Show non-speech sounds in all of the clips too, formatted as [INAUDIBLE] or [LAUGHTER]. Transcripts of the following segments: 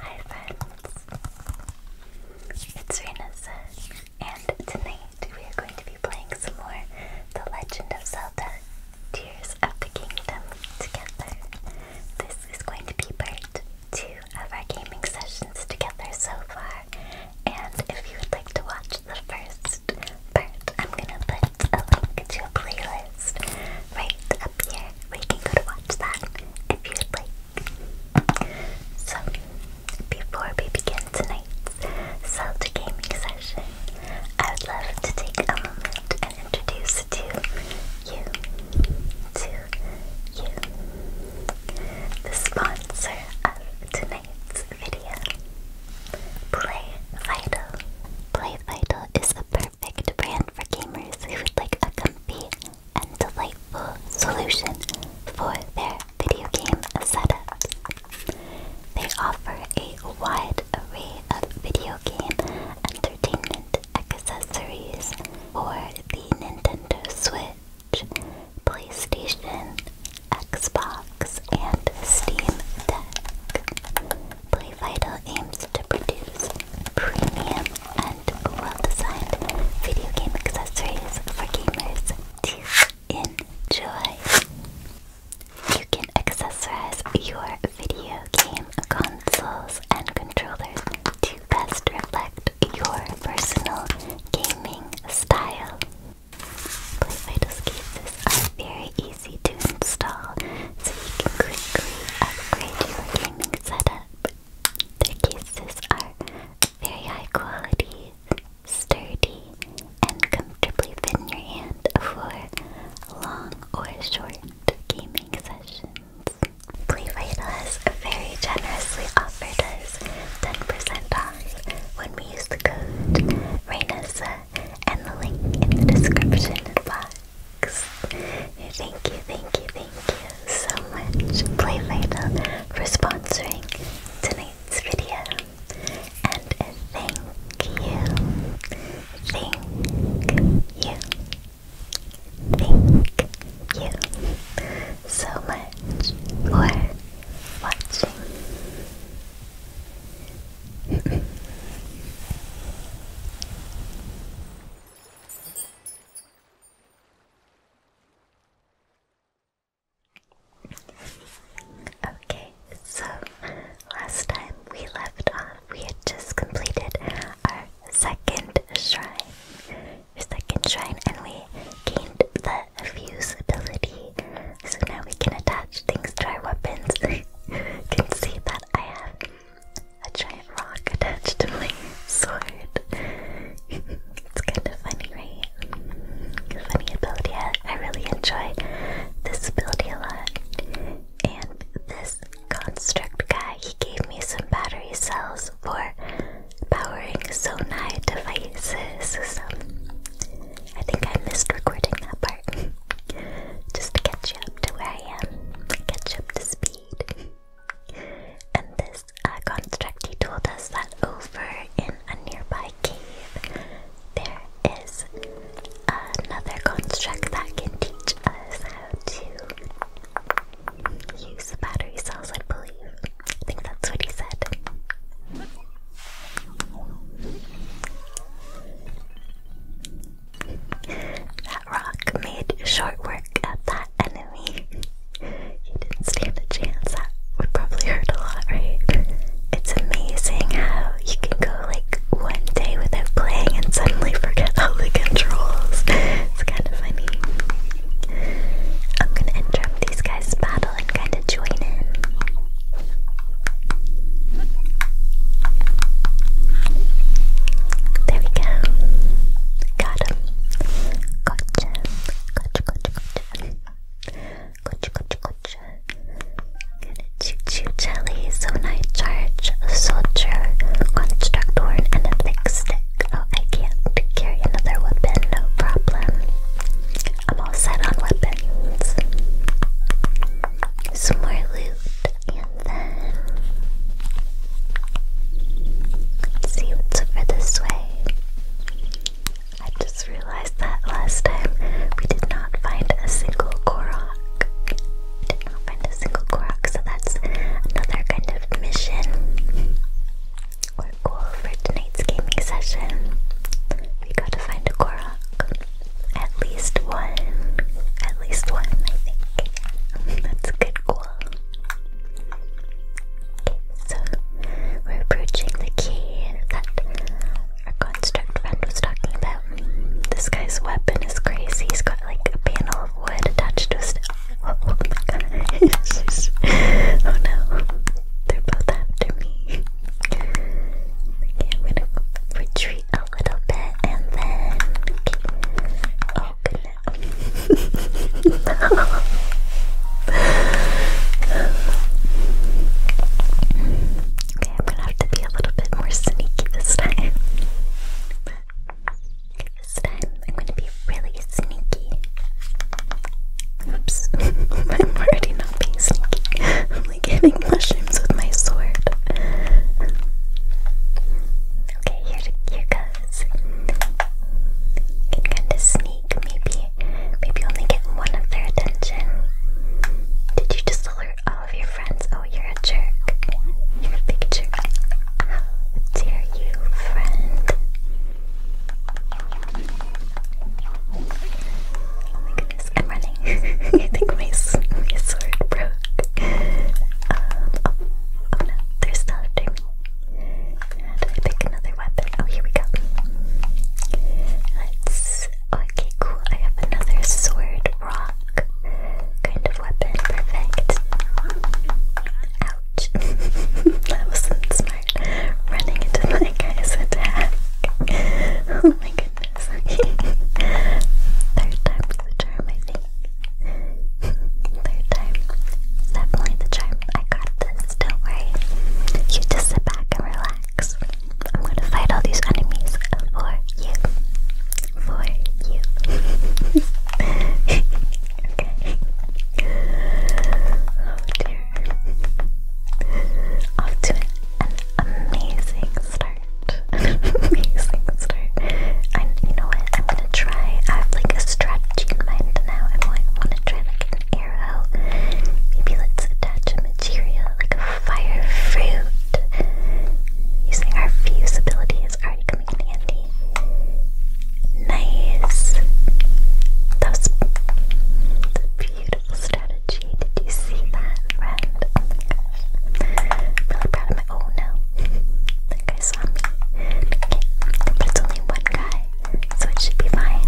Hi friends, it's Renessa, and tonight we are going to be playing some more The Legend of Zelda Tears of the Kingdom together. This is going to be part two of our gaming sessions together so far, and if you would like to watch the first part, I'm gonna put a link to a playlist right up here we can go to watch that if you'd like. So, before we begin tonight's Zelda gaming session, I would love to take a moment and introduce to you, to you, the sponsor of tonight's video. Play Vital. Play Vital is perfect brand for gamers who would like a comfy and delightful solution for their video game setup. They offer a wide array of video game entertainment accessories for the Nintendo Switch, PlayStation, Xbox, and Steam PlayVital aims to produce premium and well-designed video game accessories for gamers to enjoy. You can accessorize your video game consoles and controllers to best reflect your personal gaming style. PlayVital's cases are very easy to install, so you can quickly upgrade your streaming setup. Their cases are very high quality, sturdy, and comfortably fit your hand for long or short gaming sessions. Playvital very generously offered us 10% off when we use the code RAINASA and the link in the description box. Thank you, thank you, thank you so much, Playvital, for sponsoring tonight's video. And thank you, thank you, thank you so much for watching. [LAUGHS] Okay, so last time we left off, we had just completed our second shrine. Our second shrine, and we gained the fuse ability. So now we can attach things to our weapons. [LAUGHS] you can see that I have a giant rock attached to my sword. it's kind of funny, right? Funny ability. I really enjoy this ability a lot. And this construct guy, he gave me some battery cells for powering Sonai devices. I think I missed recording that part. [LAUGHS] Just to catch you up to where I am, catch up to speed. And this uh, construct, he told us that over in a nearby cave, there is another construct that can teach us how to use the battery cells, I believe. I think that's what he said. That rock made short work of that enemy. He didn't stand a chance. That would probably hurt a lot, right? It's amazing how you can go like one day without playing and suddenly forget all the controls. It's kind of funny. I'm gonna interrupt these guys' battle and kind of join in. There we go. Got him. Gotcha. Gotcha, gotcha, gotcha. Gotcha, gotcha, gotcha. Gonna choo-choo jelly, so night charge, soldier, construct horn, and a thick stick. Oh, I can't carry another weapon, no problem. I'm all set on weapons. Some more loot and Let's see what's over this way. I just realized that last time we did not find a single Korok. did not find a single Korok, so that's another kind of mission or goal for tonight's gaming session. We gotta find a Korok. At least one. At least one, I think. [LAUGHS] That's a good goal cool. So we're approaching the key that our construct friend was talking about. This guy's weapon is crazy. He's got like a panel of wood attached to his. Oh, oh, [LAUGHS] oh, no. They're both after me. I'm gonna retreat a little bit and then. Oh, okay, I'm gonna have to be a little bit more sneaky this time. this time, I'm gonna be really sneaky. Oops, [LAUGHS] I'm already not being sneaky. I'm like hitting mushrooms with my sword. Okay, here, goes. Can kind of sneak, maybe, maybe only get one of their attention. Did you just alert all of your friends? Oh, you're a jerk. You're How dare you, friend? Oh my goodness, I'm running. [LAUGHS] I think my, my sword broke. Um, oh, no, there's stuff after me. pick another weapon? Oh, here we go. Let's. okay, cool. I have another sword, rock kind of weapon. Perfect. Ouch. [LAUGHS] that wasn't smart. Running into my guy's attack. [LAUGHS] Oh my goodness. [LAUGHS] Third time's the charm, I think. Third time. Definitely the charm. I got this. Don't worry. You just sit back and relax. I'm gonna fight all these enemies for you. For you. [LAUGHS] okay. Oh, Off to an amazing start. [LAUGHS] amazing start. And you know what? want to try. I have like a strategy in mind now. I want, want to try like an arrow. Maybe let's attach a material like a fire fruit. Using our fuse ability is already coming in handy. Nice. That was a beautiful strategy. Did you see that, friend? Oh really proud of Oh no, that guy saw me. Okay, but it's only one guy, so it should be fine.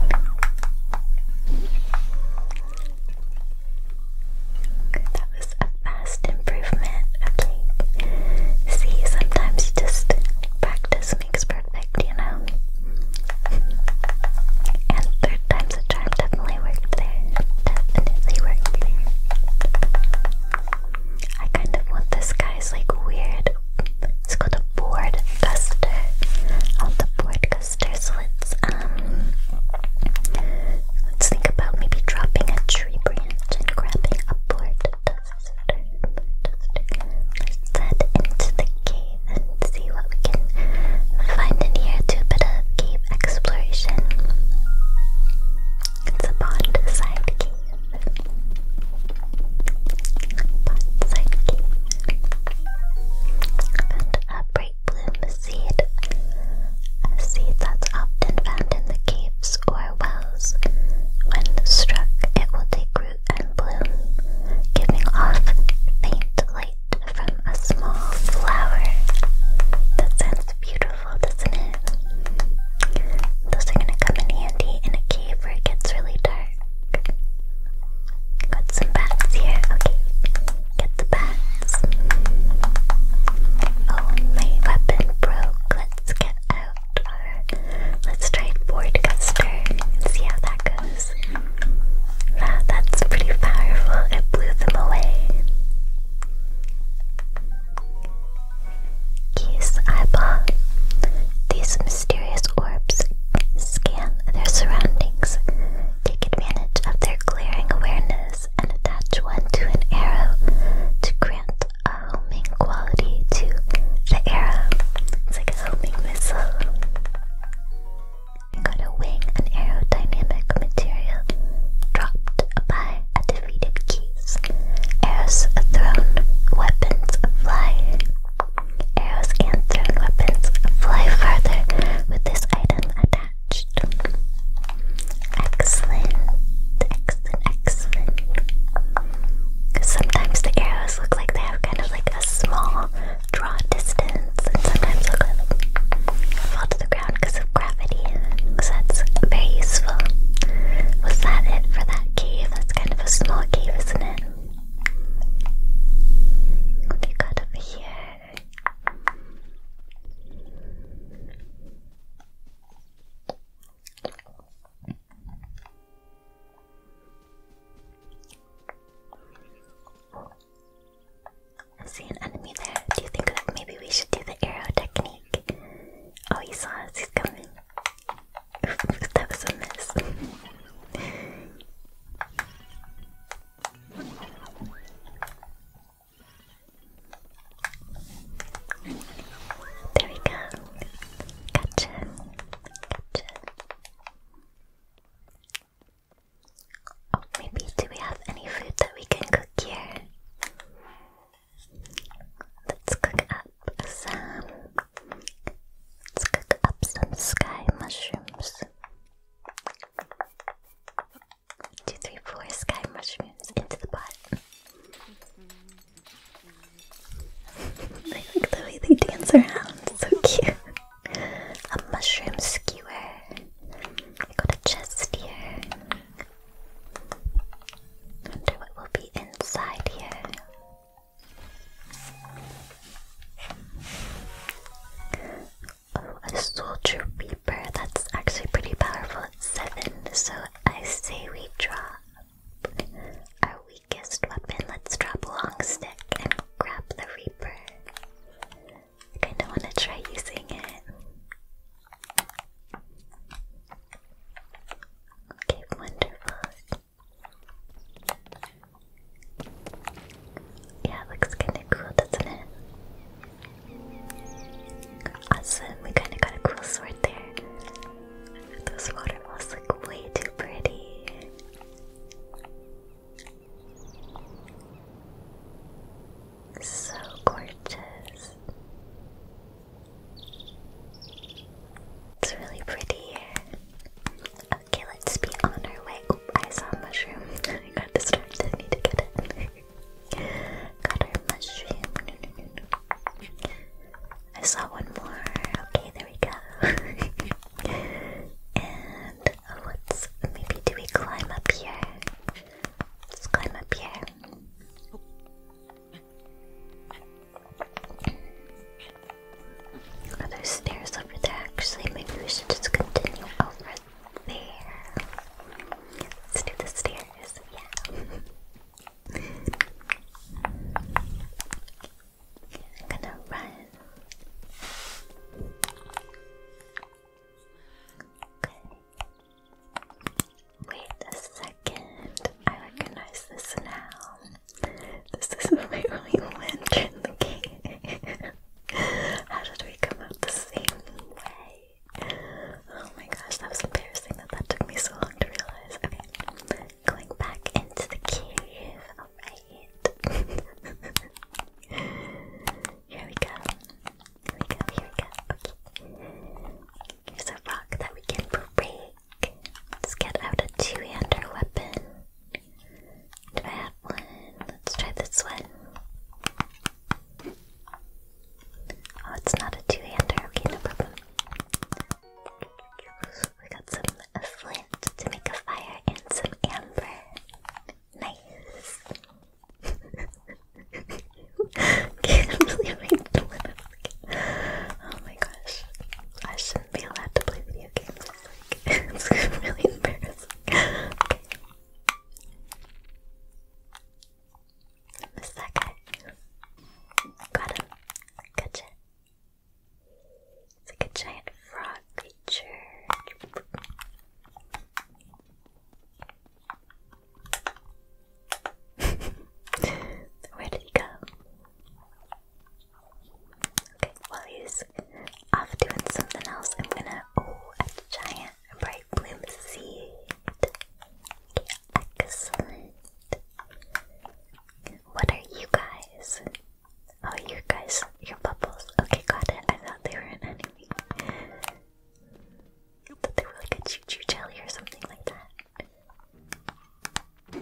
That was a fast improvement. Okay. See, sometimes just practice makes perfect, you know? And third time's a charm definitely worked there. Definitely worked there. I kind of want this guy's like weird. It's called a board custer. Out the board So let's um, let's think about maybe dropping a tree branch and grabbing a board Let's head into the cave and see what we can find in here. Do a bit of cave exploration. It's a pond side cave. And a bright bloom seed, a seed that's often found in the caves or wells. When struck, it will take root and bloom, giving off faint light from a small flower that sounds beautiful beautiful, Those are gonna come in handy in a cave where it gets really dark. Got some bats here. Okay, get the bats. Oh, my weapon broke. Let's get out. let's try board and see how that goes. Wow, that's pretty powerful. It blew them away. Geese eyeball. These mysterious orbs scan their surroundings, take advantage of their glaring awareness, and attach one to an arrow to grant a homing quality to the arrow. It's like a homing missile. Got a wing and aerodynamic material dropped by a deleted keys. Arrows thrown, weapons fly. Arrows and thrown weapons fly farther with this item attached. Excellent, excellent, excellent. Sometimes the arrows look like they have kind of like a small draw distance, and sometimes look like fall to the ground because of gravity. So that's very useful. Was that it for that? that That's kind of a small cave, isn't it? What do you got over here? I see an enemy there. Do you think that maybe we should do the arrow technique? Oh, he saw us. He's coming. [LAUGHS] that was a mess. there we go. Gotcha. Gotcha. Oh, maybe do we have any food that we can cook here? Let's cook up some. Let's cook up some sky mushrooms. Two, three, four sky mushrooms into the pot. I like the way they dance around. so cute. A mushroom skewer. I got a chest here. Wonder what will be inside here. Oh, a soldier reaper. That's actually pretty powerful at seven. So I say we drop our weakest weapon. Let's drop long stick and grab the reaper. kinda wanna try using it. Okay, wonderful. Yeah, looks kind of cool, doesn't it? Awesome, we kind of got a cool sword there. Those waterfalls look way too pretty. So gorgeous. It's really pretty here. Okay, let's be on our way. Oh, I saw a mushroom. [LAUGHS] I got distracted. Need to get it. [LAUGHS] got our mushroom. I saw one more. Okay, there we go. [LAUGHS] and oh, maybe do we climb up here? Let's climb up here. Are there stairs over there? Actually, maybe we should just continue over there. Let's do the stairs, yeah. I'm gonna run. Okay. Wait a second. I recognize this now. This is [LAUGHS] where we went in the game. [LAUGHS] How did we come out the same way? Oh my gosh, that was embarrassing that that took me so long to realize. Okay, going back into the cave. Alright. [LAUGHS] here we go. Here we go, here we go. Okay. Here's a rock that we can break. Let's get out a two-hander weapon. Do I have one? Let's try this one. Oh, it's not a two-hander. Okay, no problem. We got some flint to make a fire and some amber. Nice. [LAUGHS] Can't believe I blew it Oh my gosh. I shouldn't be allowed to play video games. It's, like, [LAUGHS] it's really embarrassing. [LAUGHS] It's like a giant frog creature. [LAUGHS] Where did he go? Okay, while he's off doing something else, I'm gonna. Oh, a giant bright bloom seed. excellent. What are you guys? Oh, you guys, your bubbles. Okay, got it. I thought they were an enemy. thought they were like a choo choo jelly or something like that. Oh.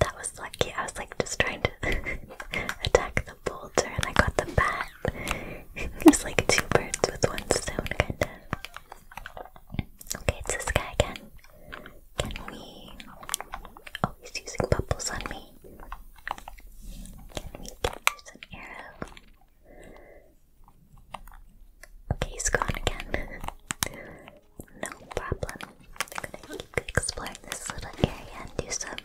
that was lucky. I was like just trying to [LAUGHS] attack the boulder and I got the bat. it's like two birds with one stone, kind of. Okay, it's this guy again. Can we. Oh, he's using bubbles on me. Can we get you arrow? Okay, he's gone again. [LAUGHS] no problem. We're gonna keep exploring this little area and do some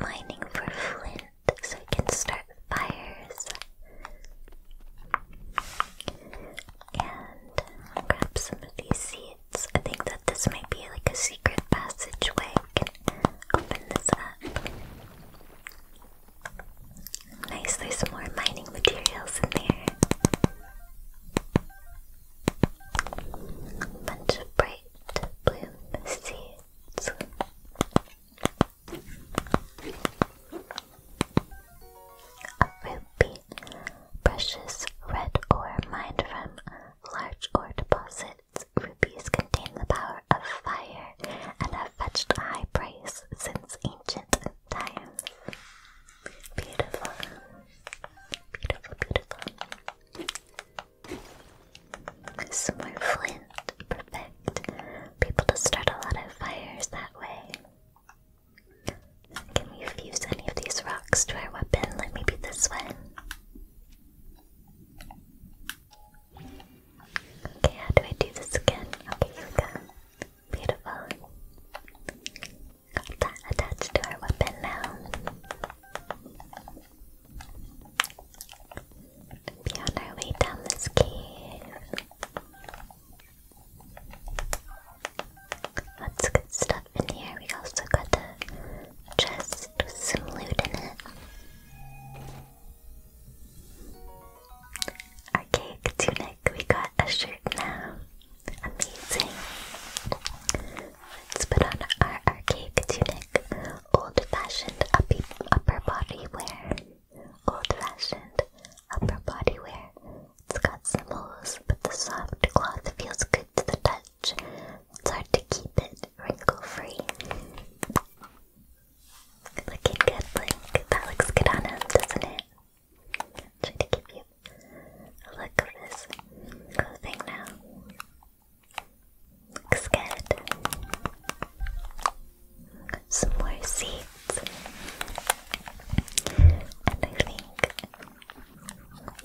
mining for flint so we can start fires. And grab some of these seeds. I think that this might be like a secret passageway. open this up. Nice, there's more mining materials in there. Bunch of bright bloom seeds. A ruby. Precious red ore mined from large ore deposits. Rubies contain the power of fire and have fetched a high price since ancient ancient times. Beautiful. Beautiful, beautiful. Some more flint. Perfect. People to start a lot of fires that way. Can we fuse any of these rocks to our weapon? Let me be this one. Okay, how do I do this again? Okay, here we go. Beautiful. Got that attached to our weapon now. Be our way down this cave. Lots of good stuff in here. We also got the chest with some loot in it. Our cake tunic, we got a shirt now. Amazing. Let's put on our archaic tunic. Old fashioned upper body wear. Old fashioned upper body It's got some holes, but the soft cloth feels good to the touch. It's hard to keep it wrinkle free. Good looking, good Blink. That looks good on him, doesn't it? Try to give you a look of his clothing now. Looks good. Some more seeds. And I think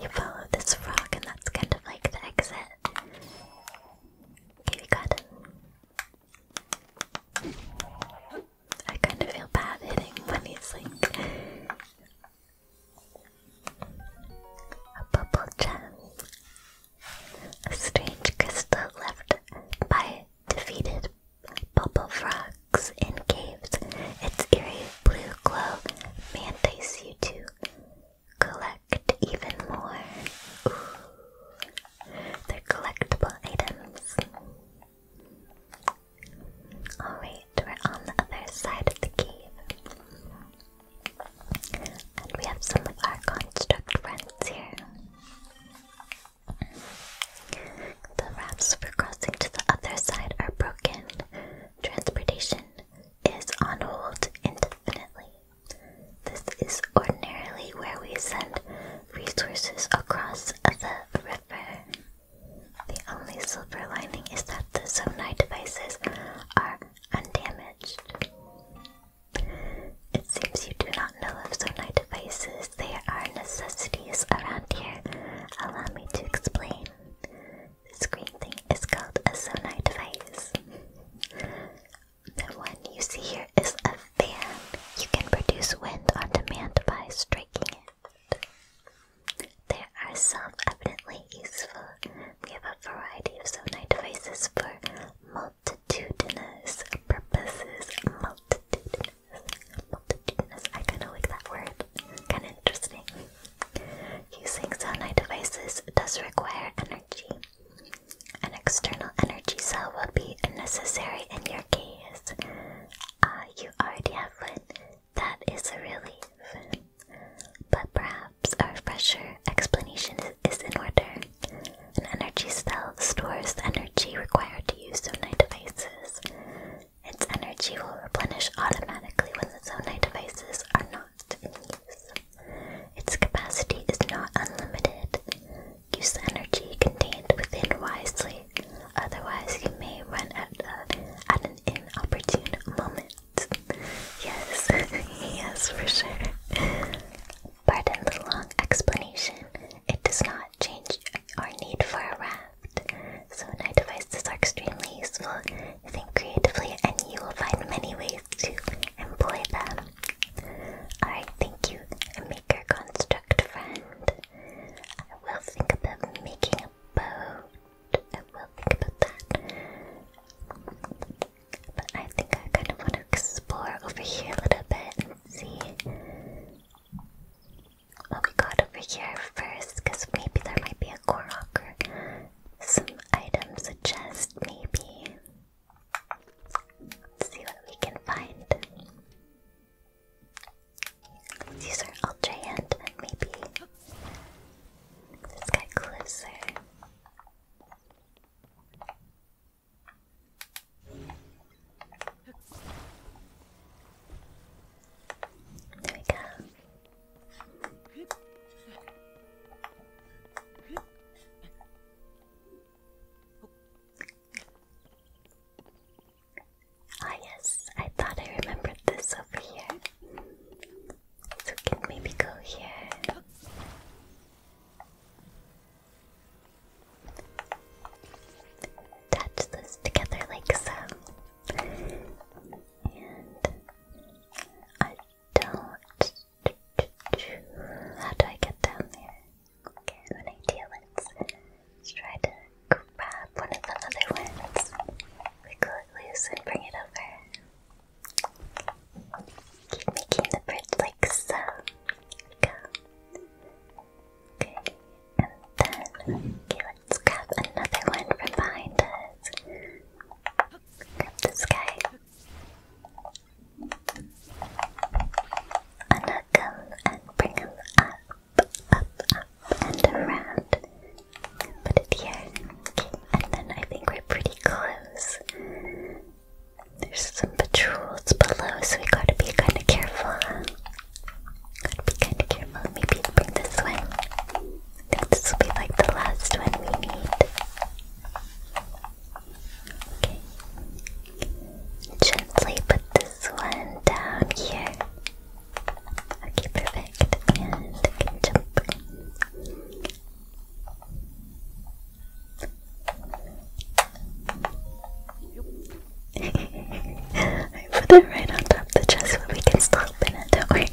you follow this frog, and that's kind of like the exit. Okay, we got I kind of feel bad hitting when he's like a bubble gem. A strange crystal left by defeated bubble frogs in caves. Its eerie blue glow mandates you to collect even more. They're collectible items. Alright, we're on the other side of the cave. And we have some of our construct friends here. The rafts for crossing to the other side are broken. Transportation is on hold indefinitely. This is ordinarily where we send resources across of the river. The only silver lining is that the Sonai devices are undamaged. It seems you do not know of Sonai devices. There are necessities around here. Allow me to explain. This green thing is called a Sonai device. the one you see here is a then you can produce wind on demand by striking it. There are some evidently useful. We have a variety of sonar devices for multitudinous purposes. Multitudinous. Multitudinous. I kind of like that word. Kind of interesting. Using sonar devices does require energy. An external energy cell will be necessary in your uh, you already have one. That is a relief. But perhaps a fresher explanation is, in order. An energy cell stores the energy required to use Zonai devices. Its energy will replenish automatically when the Zonai devices are not in use. Its capacity is not unlimited. Use the energy contained within wisely, otherwise you may run out at an inopportune moment. Yes, [LAUGHS] yes, for sure. Pardon the long explanation. It does not change our need for a raft. So night devices are extremely useful. Think creatively and you will find many ways to employ them. Alright, thank you, Maker Construct friend. I will think about making a boat. I will think about that. But I think I kind of want to explore over here a little bit see what we got over here first, because maybe there might be a Korok or some items Just maybe. see what we can find. These are ultra hand maybe let's get closer. There we go. Ah yes, I thought I remembered this over here. So can maybe go here. Touch this together like so. And I don't. How do I get down there? Okay, an idea. Let's, try to grab one of the other ones. Wiggle it loose and bring it over. Keep making the bridge like so. There we go. Okay, and then, let's grab another one from behind us. Grab this guy. Unhook him and bring him up up, up, up, and around. Put it here. And then I think we're pretty close. There's some patrols below, so we gotta be kinda careful. Gotta be kinda careful. Maybe bring this one. this will be like the last one we need. Okay. Gently put this this one down here. Okay, perfect. And jump. [LAUGHS] I put it right on top of the chest we can still open it, don't worry.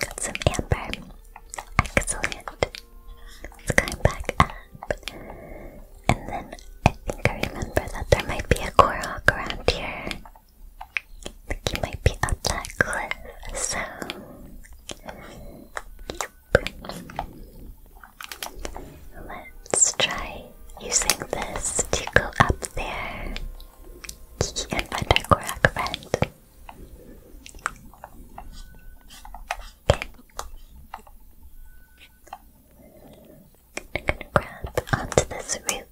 Got some amber. Excellent. Let's climb back and then I think I remember that there might be a Korok around here. he might be up that cliff, so... Let's try using this to go up there. and find our Korok friend. I'm gonna grab onto this root.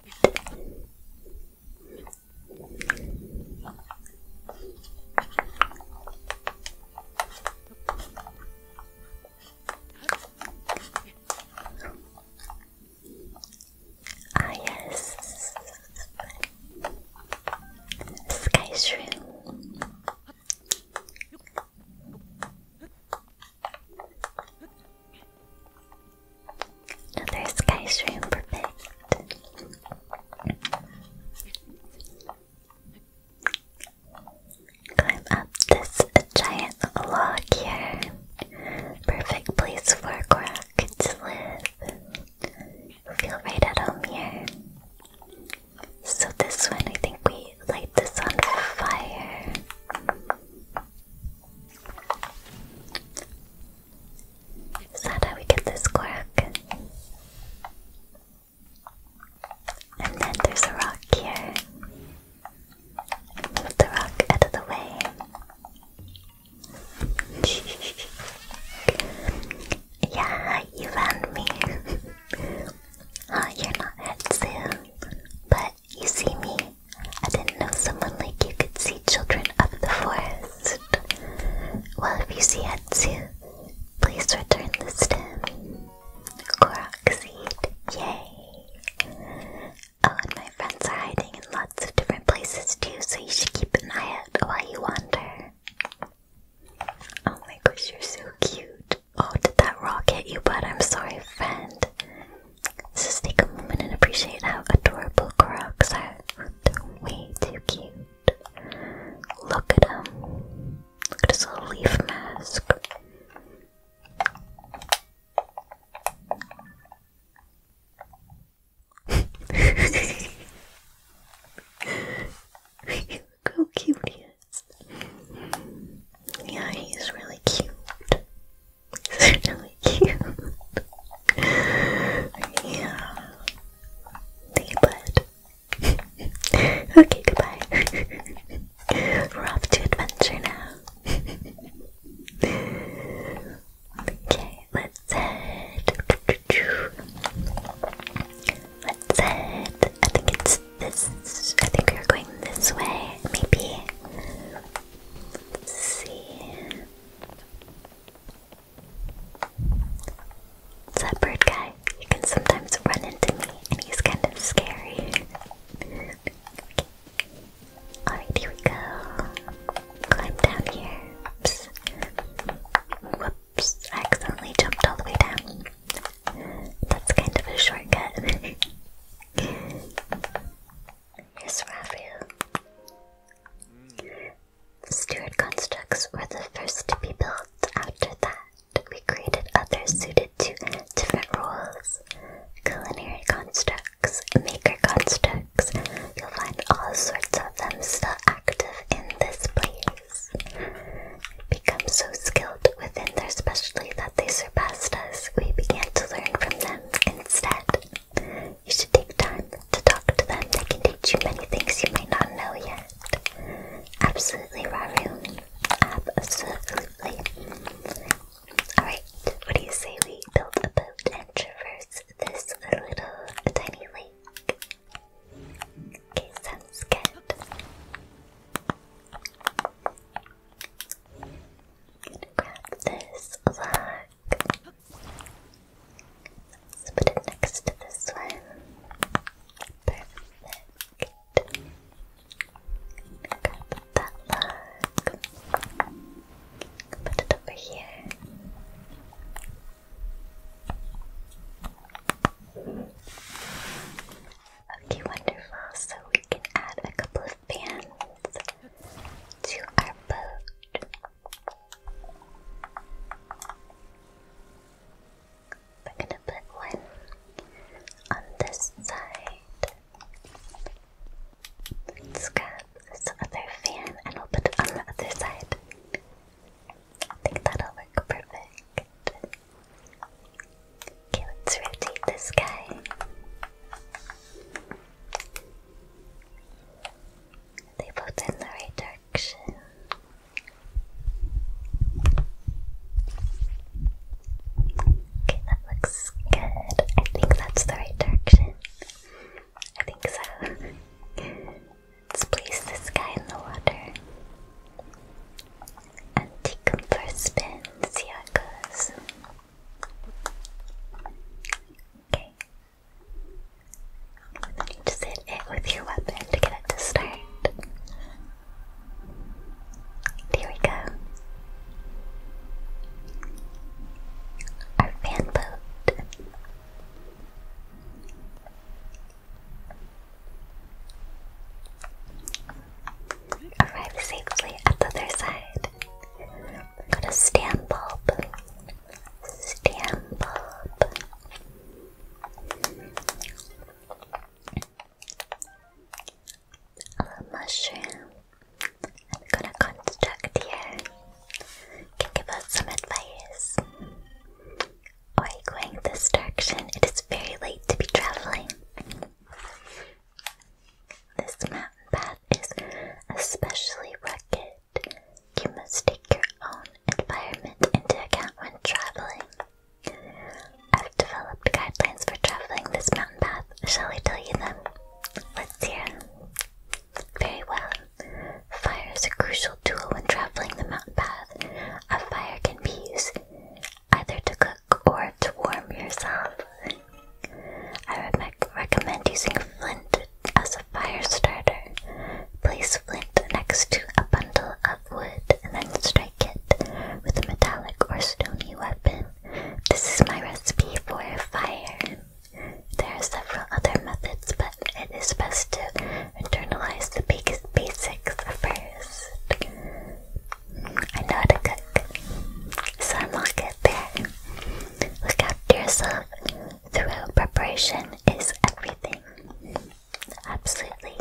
Ah yes, sky shroom. Another sky stream, perfect. Climb up this giant log here. Perfect place for Gorak to live. Feel right at home here. So this one, I think we me light this on fire. Is that how we get this quirk? And then there's a rock here. Move the rock out of the way. [LAUGHS] yeah, you found me. [LAUGHS] you're not Hetsu, but you see me? I didn't know someone like you could see children of the forest. Well, if you see it too, please return the stem. Korok yay! Oh, and my friends are hiding in lots of different places too, so you should keep an eye out while you wander. Oh my gosh, you're so cute. Oh, did that rock hit you, But I'm sorry, friend. just take a moment and appreciate how adorable Koroks are. way too cute. Look at him. Look at his little leaf mask. [LAUGHS] how cute he yeah, he's really cute. [LAUGHS] He's really cute. yeah. Think about okay, goodbye. [LAUGHS] [LAUGHS] We're off to adventure now. okay, let's head. Let's head. I think it's this. I think we're going this way, maybe. see. that bird guy. He can sometimes run into me, and he's kind of scary. okay. Alright, here we go. Climb down here. Oops. Whoops. accidentally jumped all the way down. That's kind of a shortcut. [LAUGHS] Here's Raphael. Stuart constructs were the first to be built. After that, we created others suited to different roles. Culinary constructs, maker constructs. You'll find all sorts of them still active in this place. Become so skilled within their specialty that they surpassed us, we began to learn from them instead. You should take time to talk to them. They can teach you many things you may not know yet. Absolutely, Raru. Absolutely. Alright, what do you say we build a boat and traverse this little tiny lake? Okay, sounds good. Grab this lock. Let's put it next to this one. Perfect. Grab that lock. Put it over here. Okay, wonderful. So we can add a couple of pants to our boat. We're gonna put one on this side. Let's fan and we'll put it on the other side. I think that'll work perfect. Okay, let's rotate this guy. They both in the right direction. Okay, that looks good. I think that's the right direction. I think so. Let's place this guy in the water and take see how it goes. Okay. Then you just hit it with your weapon to get it to start. There we go. Our fan boat arrive safely at the other side. we to stand bulb. A mushroom. I'm gonna construct here. Can give us some advice. Are you going this direction? It is very late to be traveling. This mountain path is especially rugged. You must take your own environment into account when traveling. I've developed guidelines for traveling this mountain path. Shall I tell you them? Let's hear Very well. Fire is a crucial tool when traveling the mountain path. A fire can be used either to cook or to warm yourself. I would recommend using flint as a fire starter. Place flint next to a bundle of wood and then strike it with a metallic or stony weapon. This is my recipe for fire. There are several other methods, but it is best to internalize the basics first. I know how to cook, so i unlock it there. Look after yourself. Thorough preparation is everything. Absolutely.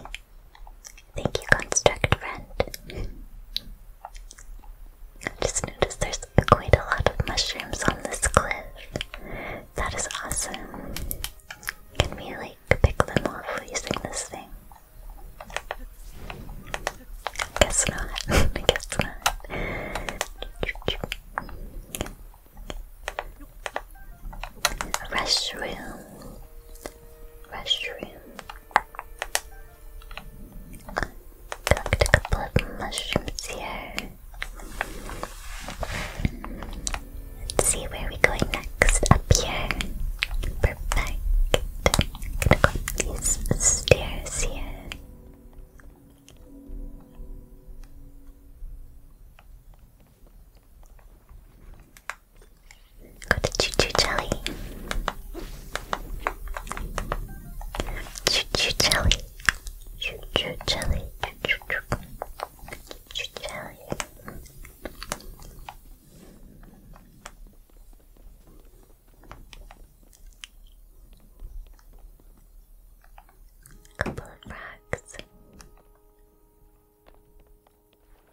Thank you, construct friend. just noticed there's quite a lot of mushrooms on this cliff. That is awesome. Can we like pick them off using this thing? I guess [LAUGHS] not. Restroom. Restroom. Collect a couple of mushrooms here. Let's see where we going next. Up here. Perfect. I'm going these stairs here. Go to Choo Jelly. Choo Jelly. Choo Jelly. Choo Choo Choo Jelly. Couple of rocks.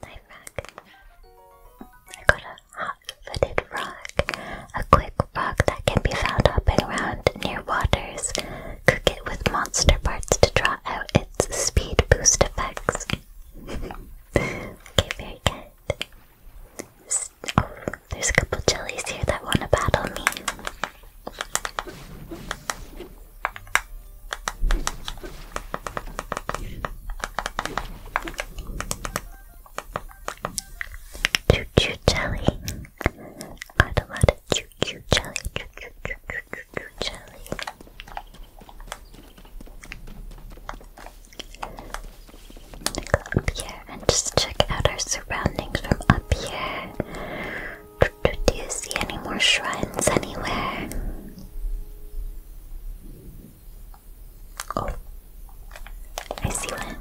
Night rock. I got a hot-footed rock. A quick rock that can be found up and around near waters. Cook it with monster parts to draw out its speed boost effects. [LAUGHS] okay, very good there's a couple jellies here that want to battle me. Choo choo jelly. Got a lot of choo choo jelly. Choo choo choo choo choo, choo jelly up here and just check out our surroundings from up here. Do you see any more shrines anywhere? Oh, I see one.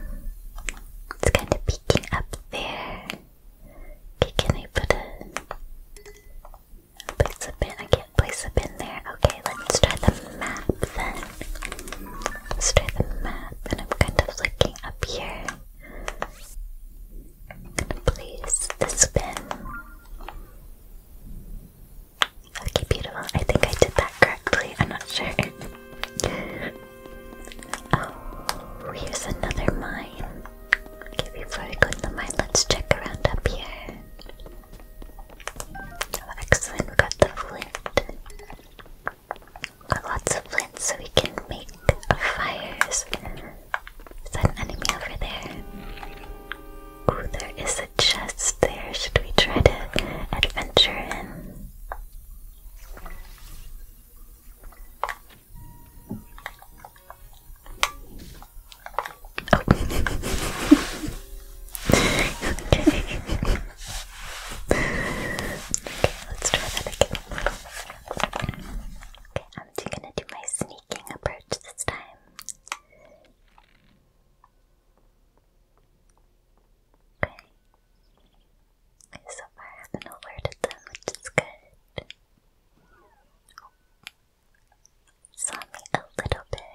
It's kind of peeking up there. Okay, can I put a place a bin? I can't place a bin there. Okay, let's try the map then. Let's try the map, and I'm kind of looking up here. place this bin. Okay, beautiful. I think I did that correctly. I'm not sure. [LAUGHS] oh, here's another mine. Okay, before we go to the mine, let's check around up here. Oh, excellent, got the flint. got lots of flint so we can make fires. Is that an enemy over there? Ooh, there is a chest there. Should we try to adventure in? Oh. [LAUGHS] okay okay, let's try that again. Okay, I'm gonna do my sneaking approach this time. Okay. So I haven't alerted them, which is good. Saw me a little bit.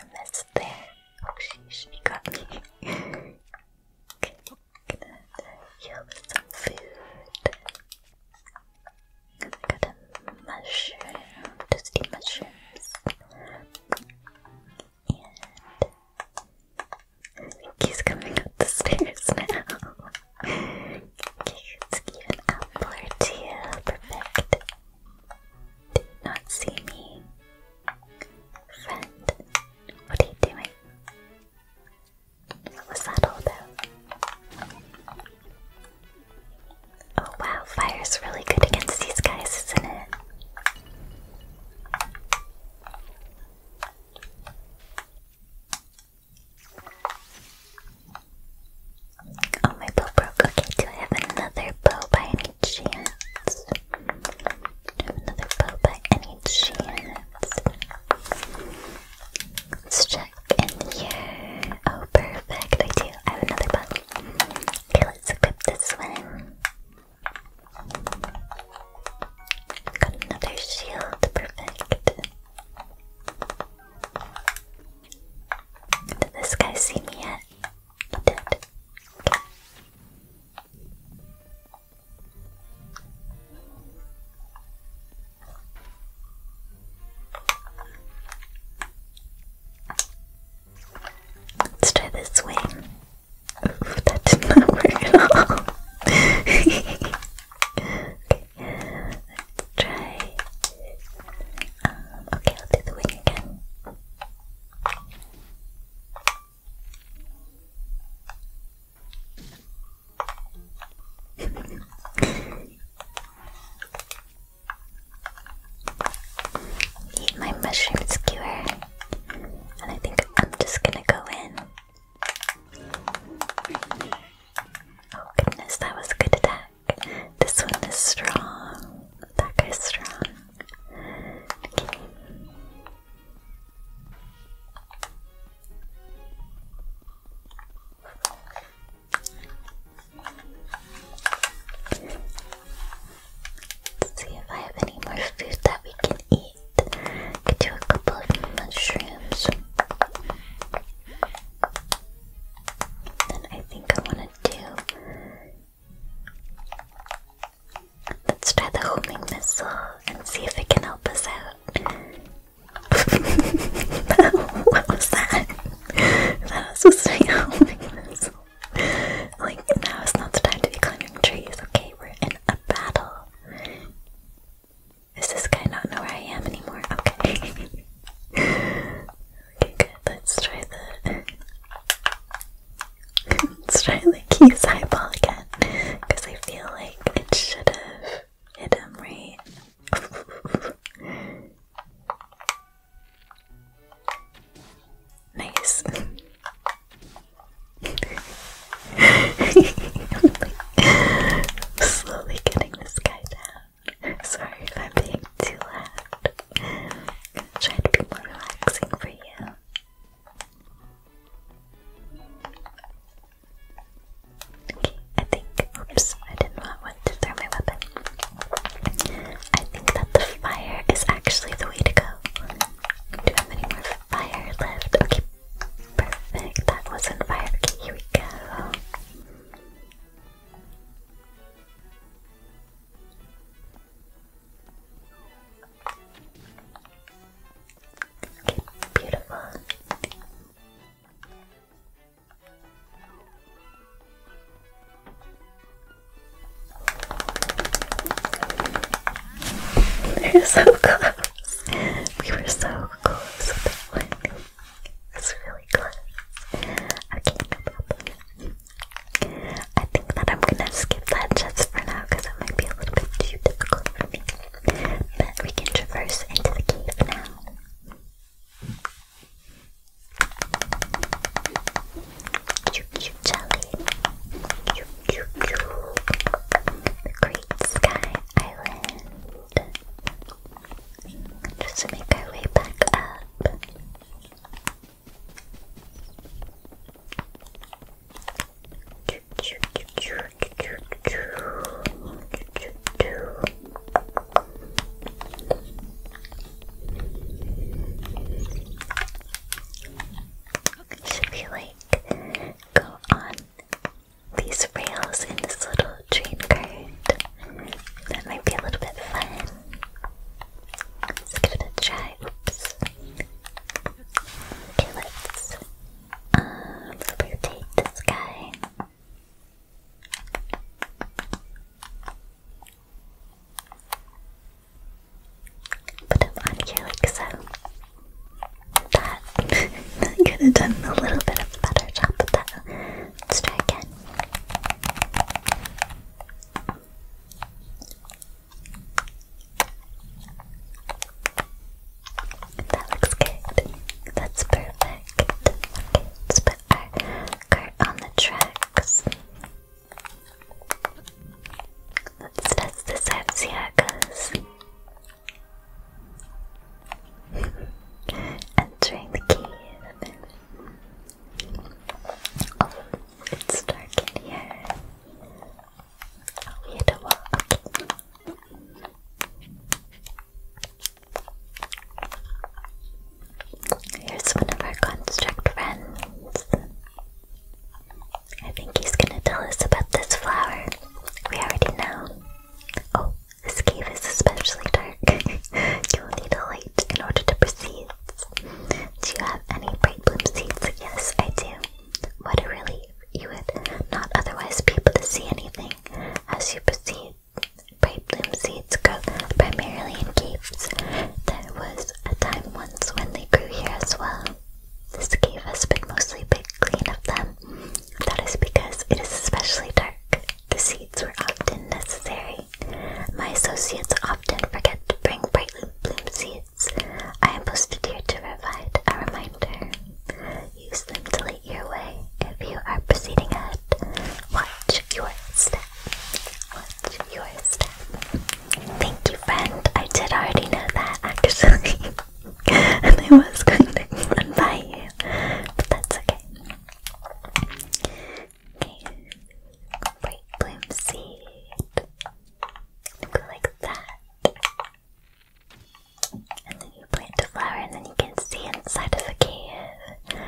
I missed there. Oh sheesh, he got me. okay, gonna heal with some food. got a mushroom, just mushrooms. And he's coming up the stairs now. okay, let's give an apple Perfect did not see me. Friend, what are you doing? What was that all about? Oh wow, fire's really good against these guys, isn't it? Oh, my bow broke. Okay, do I have another bow by any chance? have another bow by any chance? Let's check in here. Oh, perfect. I do. I have another bow. Okay, let's equip this one. Got another shield. Perfect. Did this guy see me yet? Let's try this swing. [LAUGHS] that did not work at all. [LAUGHS] okay, let's try uh, okay, I'll do the wing again. [LAUGHS] Eat my mushroom skewer, and I think I'm just gonna go in. Oh goodness, that was a good attack. This one is strong. That guy's strong. Okay. Let's see if I have any more food that we can eat. Could do a couple of mushrooms. Then I think I want to do Let's try the homing missile and see if it can help us out. [LAUGHS] what was that? that was just a homing missile. Like, now is not the time to be climbing trees. Okay, we're in a battle. Does this guy not know where I am anymore? Okay. [LAUGHS] Okay, good. Let's try the [LAUGHS] let's try the keys eyeball again because I feel like it should have hit him right. [LAUGHS] nice. [LAUGHS] I'm like slowly getting this guy down. Sorry I'm being too loud. I'm gonna be more relaxing for you. Okay, I think. Oops, I did not want to throw my weapon. I think that the fire is actually the way to go. Do you have any more fire left? Okay, perfect. That wasn't fire. here we go. Okay, beautiful. They're so close. We were so close that one. really close. Okay, no problem. I think that I'm gonna skip that just for now because it might be a little bit too difficult for me. But we can traverse into the cave now. Choo choo jelly. Choo choo choo. Great Sky Island. Just make our way back up. It Should be like go on these rails in this little train cart? That might be a little bit fun. Let's give it a try. Oops. Okay, let's uh, rotate this guy. Put him on here like so. That, [LAUGHS] that could have done a little bit of better job with that. Let's try again. That looks good. That's perfect. Okay, let's put our cart on the tracks. Let's test this out, see how [LAUGHS] Entering the key. It's dark in here. Oh, we hit a wall. Here's one of our construct friends. I think he's gonna tell us about this flower. We already know. Oh, this cave is especially dark. [LAUGHS] You'll need a light in order to proceed. Do you have any bright bloom seeds? Yes, I do. What a relief. You would not otherwise be able to see anything as you proceed. Bright bloom seeds grow primarily in caves. There was a time once when they grew here as well. This cave has been mostly big clean of them. That is because it is especially dark. The seeds were often necessary my associates often forget to bring brightly bloom seeds. I am posted here to provide a reminder. Use them to light your way if you are proceeding ahead. Watch your step. Watch your step. Thank you, friend. I did already know that, actually. [LAUGHS] and I was going to unbuy you. But that's okay. Okay. Complete bloom seed. Go like that. And then you plant a flower and then you can see inside of the cave.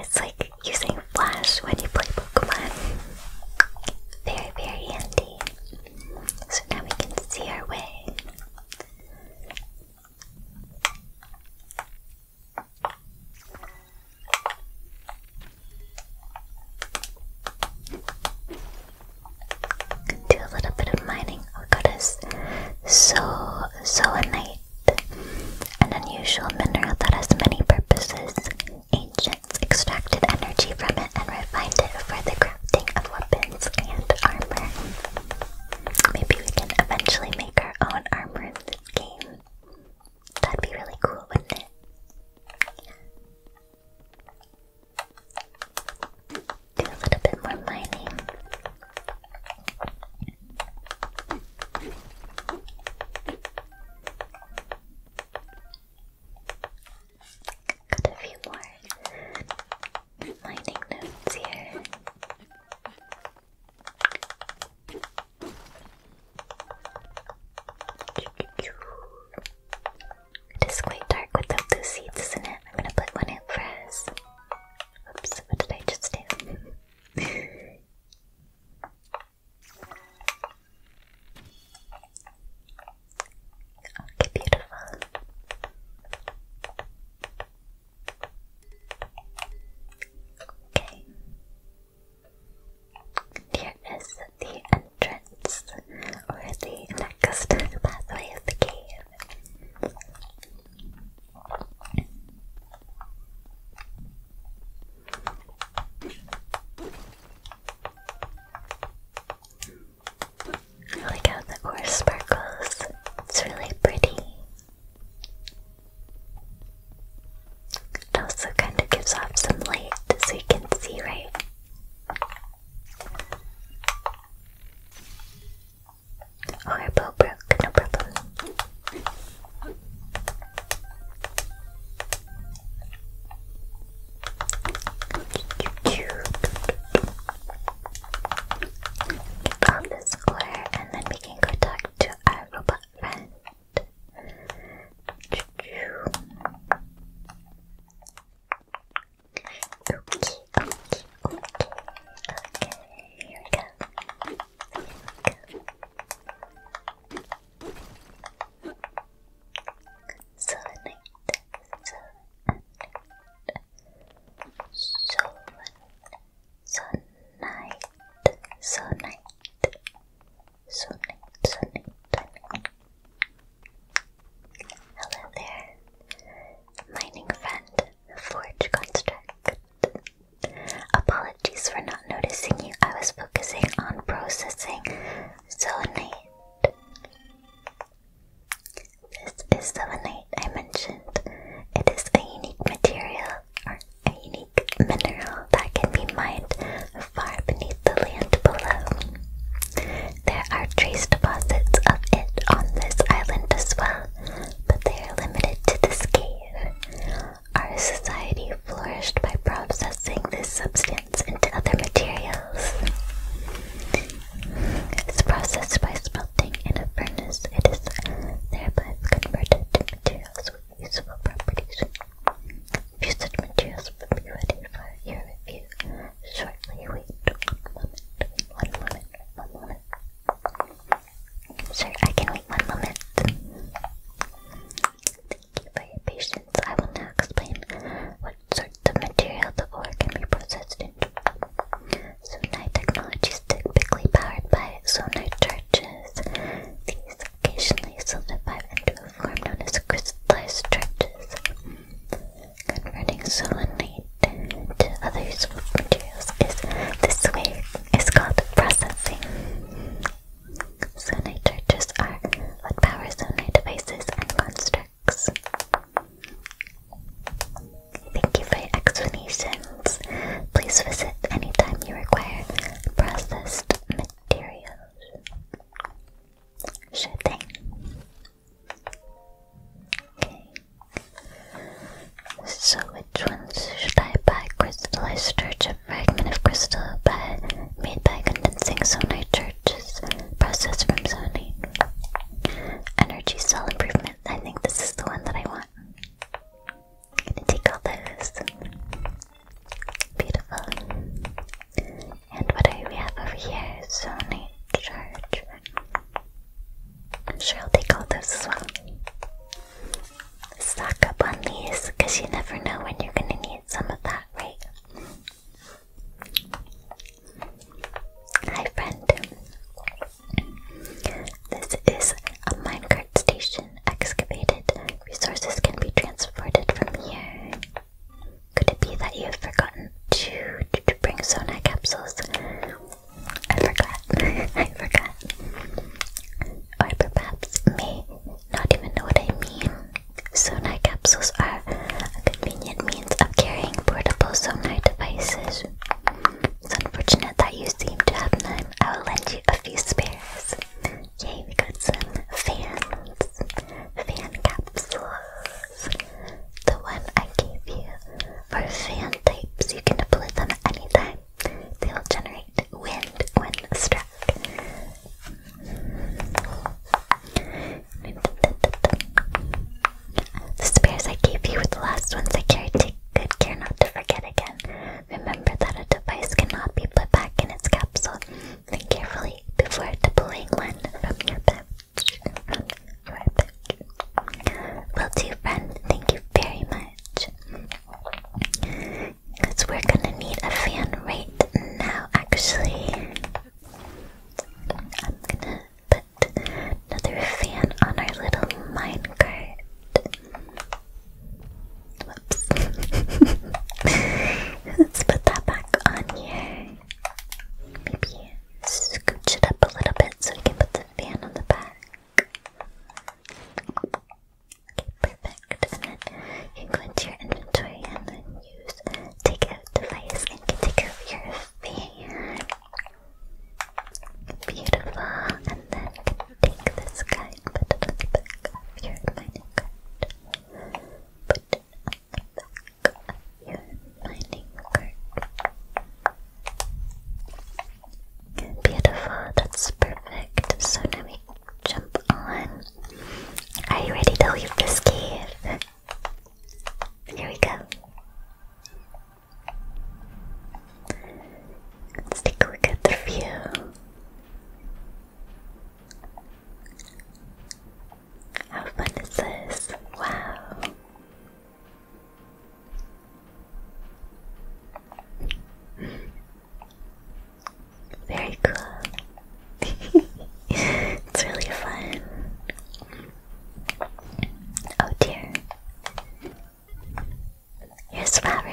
It's like using flash when you play Pokemon. Very, very handy. So now we can see our way. Can do a little bit of mining. We oh, got us so zoanite, an unusual mineral that has many purposes. Ancients extracted energy from it and refined it for the crafting of weapons and armor. Maybe we can eventually make our own armor in this game. That'd be really cool, wouldn't it? Do a little bit more mining. Got a few more mining notes here. It is quite dark without those seeds, isn't it? I'm gonna put one in for Oops, what did I just do? [LAUGHS] Okay, beautiful. Okay. Here is the entrance, or the next pathway of the cave. I how the ore sparkles. It's really pretty. It also kind of gives off some light so you can see, right? Oh, our broke, no problem. Get all square and then we can go talk to our robot friend. Okay, okay, okay. Okay, here we go. Here we go. Selenite, selenite, selenite, selenite, selenite, Sunny, sunny, sunny. Hello there, mining friend, Forge Construct. Apologies for not noticing you. I was focusing on processing selenite. This is selenite I mentioned. It is a unique material, or a unique mineral that can be mined far beneath the land below. There are trace deposits of it on this island as well, but they are limited to this cave. Our society flourished by processing this substance into other materials. It's processed by smelting in a furnace. It is then converted into materials useful properties. Visit materials will be ready for your review shortly. Wait one moment, one moment, one moment. Sir, I can wait one moment. Thank you for your patience. I will now explain what sorts of material the ore can be processed into. Sonite technology is typically powered by sonite charges. These occasionally solidify into a form known as crystallized charges, converting selenite to other useful materials is this way is called processing. Selenite charges are what power selenite devices and constructs. Thank you for your explanations. Please visit anytime you require processed Cheerios. Sure thing. Okay. So which one should I buy? Crystallized church, fragment of crystal by, made by condensing sonar churches process from zoning. Energy cell improvement. I think this is the one that I want. I'm gonna take all those. Beautiful. And what do we have over here? Sonic Charge. I'm sure I'll take all those as well. Stock up on these because you never know when you're going to need some of that, right? Hi, friend. This is a minecart station. When excavated, resources can be transported from here. Could it be that you have forgotten to, to, to bring Sona capsules? I forgot. [LAUGHS] I forgot. Or perhaps may not even know what I mean. Sonar capsules are a convenient means of carrying portable sonar devices. It's unfortunate that you seem to have none. I will lend you a few spares. Okay, we got some fans, fan capsules. The one I gave you for fan types, you can deploy them anytime. They'll generate wind when struck. The spares I gave you were the last ones I carried. Take good care not to forget again. Remember that a device cannot be put back in its capsule Think carefully before deploying one from your pouch. your pouch. Well, too, friend. Thank you very much. Because we're gonna need a fan right now, actually. I'm gonna put another fan on our little minecart. [LAUGHS] Let's put that back on here. Maybe scooch it up a little bit so we can put the fan on the back. Okay, perfect. And then you go into your inventory and then use take out device and take out your fan. Beautiful. And then take this guy and put it on the back of your minecart. Beautiful, that's perfect. So now we jump on. Are you ready to leave this cave? Here we go. Let's take a look at the view. How fun is this? Wow. Very cool. [LAUGHS] it's really fun. Oh dear. Here's Faru.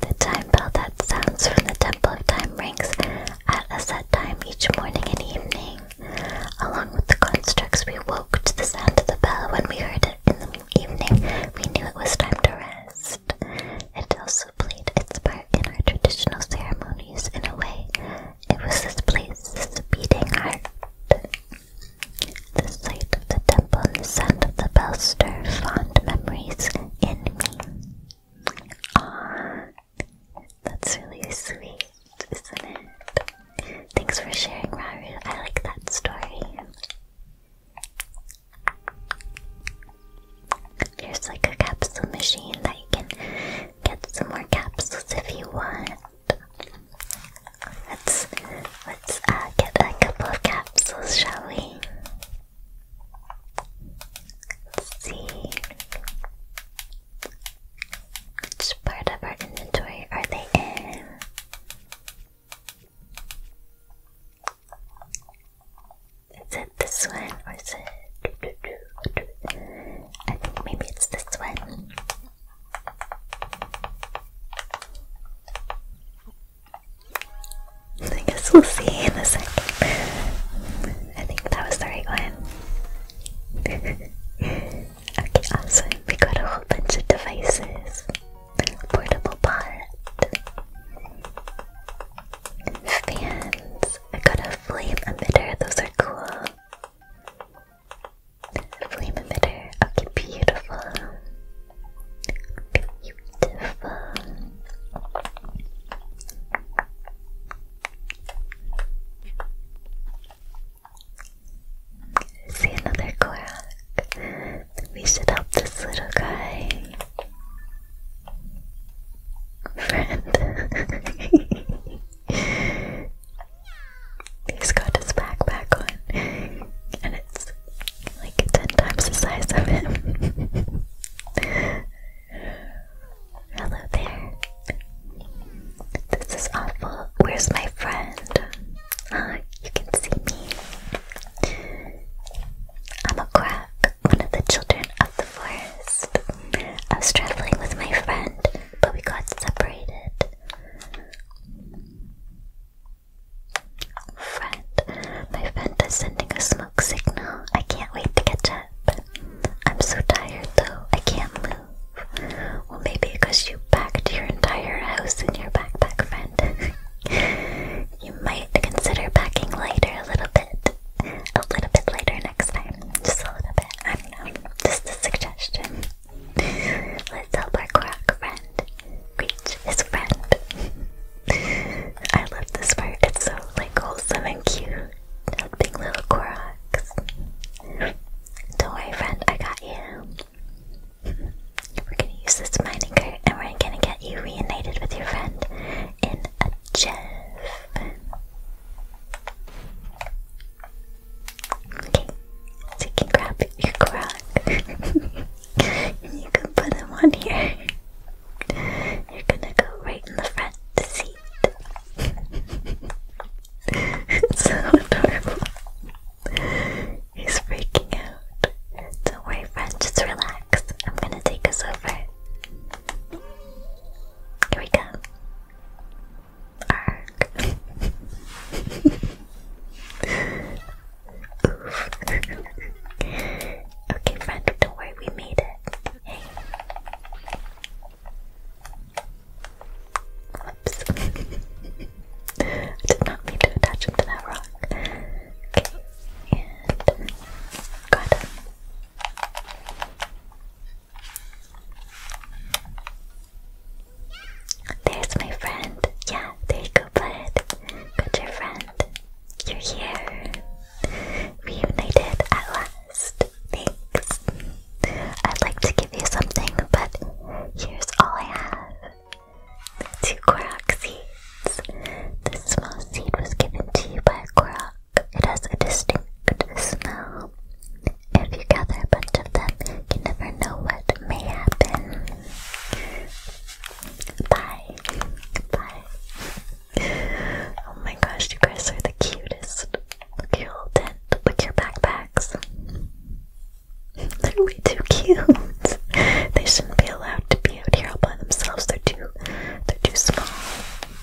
The time bell that sounds from the Temple of Time rings at a set time each morning and evening. Along with the constructs, we woke to the sound of the bell. When we heard it in the evening, we knew it was time to rest. It also played its part in our traditional ceremonies in a way. It was this place, this beating heart. The sight of the temple and the sound of the bell stir fond memories in me. Aww, that's really sweet, isn't it? Thanks for sharing, Raru. I like that story. There's like a capsule machine that you can get some more capsules if you want. Let's let's uh, get a couple of capsules, shall we? Let's see. Which part of our inventory are they in? Is it this one or is it? I think maybe it's this one. I guess we'll see in a second. I think that was the right one. [LAUGHS] okay, awesome. We got a whole bunch of devices. Portable pot. Fans. I got a flame emitter. Those are cool. Flame emitter. Okay, beautiful. Beautiful. see another Korok. We should help this little guy. Friend. [LAUGHS] He's got his backpack on, and it's like ten times the size of him. Hello there. This is awful. Where's my friend? Ah, you can see me. I'm a crab, one of the children of the forest. I was traveling with my friend, but we got separated. Friend, my friend is sending a smoke signal. I can't wait to catch up. I'm so tired though, I can't move. Well, maybe because you packed your entire house in your backpack, friend. [LAUGHS] you might consider packing lighter a little bit. A little bit later next time. Just a little bit. I don't know. Just a suggestion. [LAUGHS] Let's help friend reach his friend. I love this part. It's so like wholesome and cute. Helping little Koroks. Don't worry, friend. I got you. We're gonna use this mining cart, and we're gonna get you reunited with your friend in a jiff. Okay, so you can grab your Korok, [LAUGHS] you can put him on here. You're gonna go right in the front seat. it's [LAUGHS] so adorable. He's freaking out. Don't worry, friend, just relax. I'm gonna take us over. Here we go. Arg. [LAUGHS] okay, friend, don't worry, we made it. Hey. [LAUGHS] I did not mean to attach him to that rock. Okay, and got him. There's my friend. Yeah, there you go, bud. Got your friend. You're here. Reunited at last. Thanks. I'd like to give you something, but here's all I have. Two Korok seeds. This small seed was given to you by a Korok. It has a distinct smell. If you gather a bunch of them, you never know what may happen. Bye. Bye oh my gosh, you guys are the cutest. Look at your tent. Look at your backpacks. They're way too cute. They shouldn't be allowed to be out here all by themselves. They're too they're too small.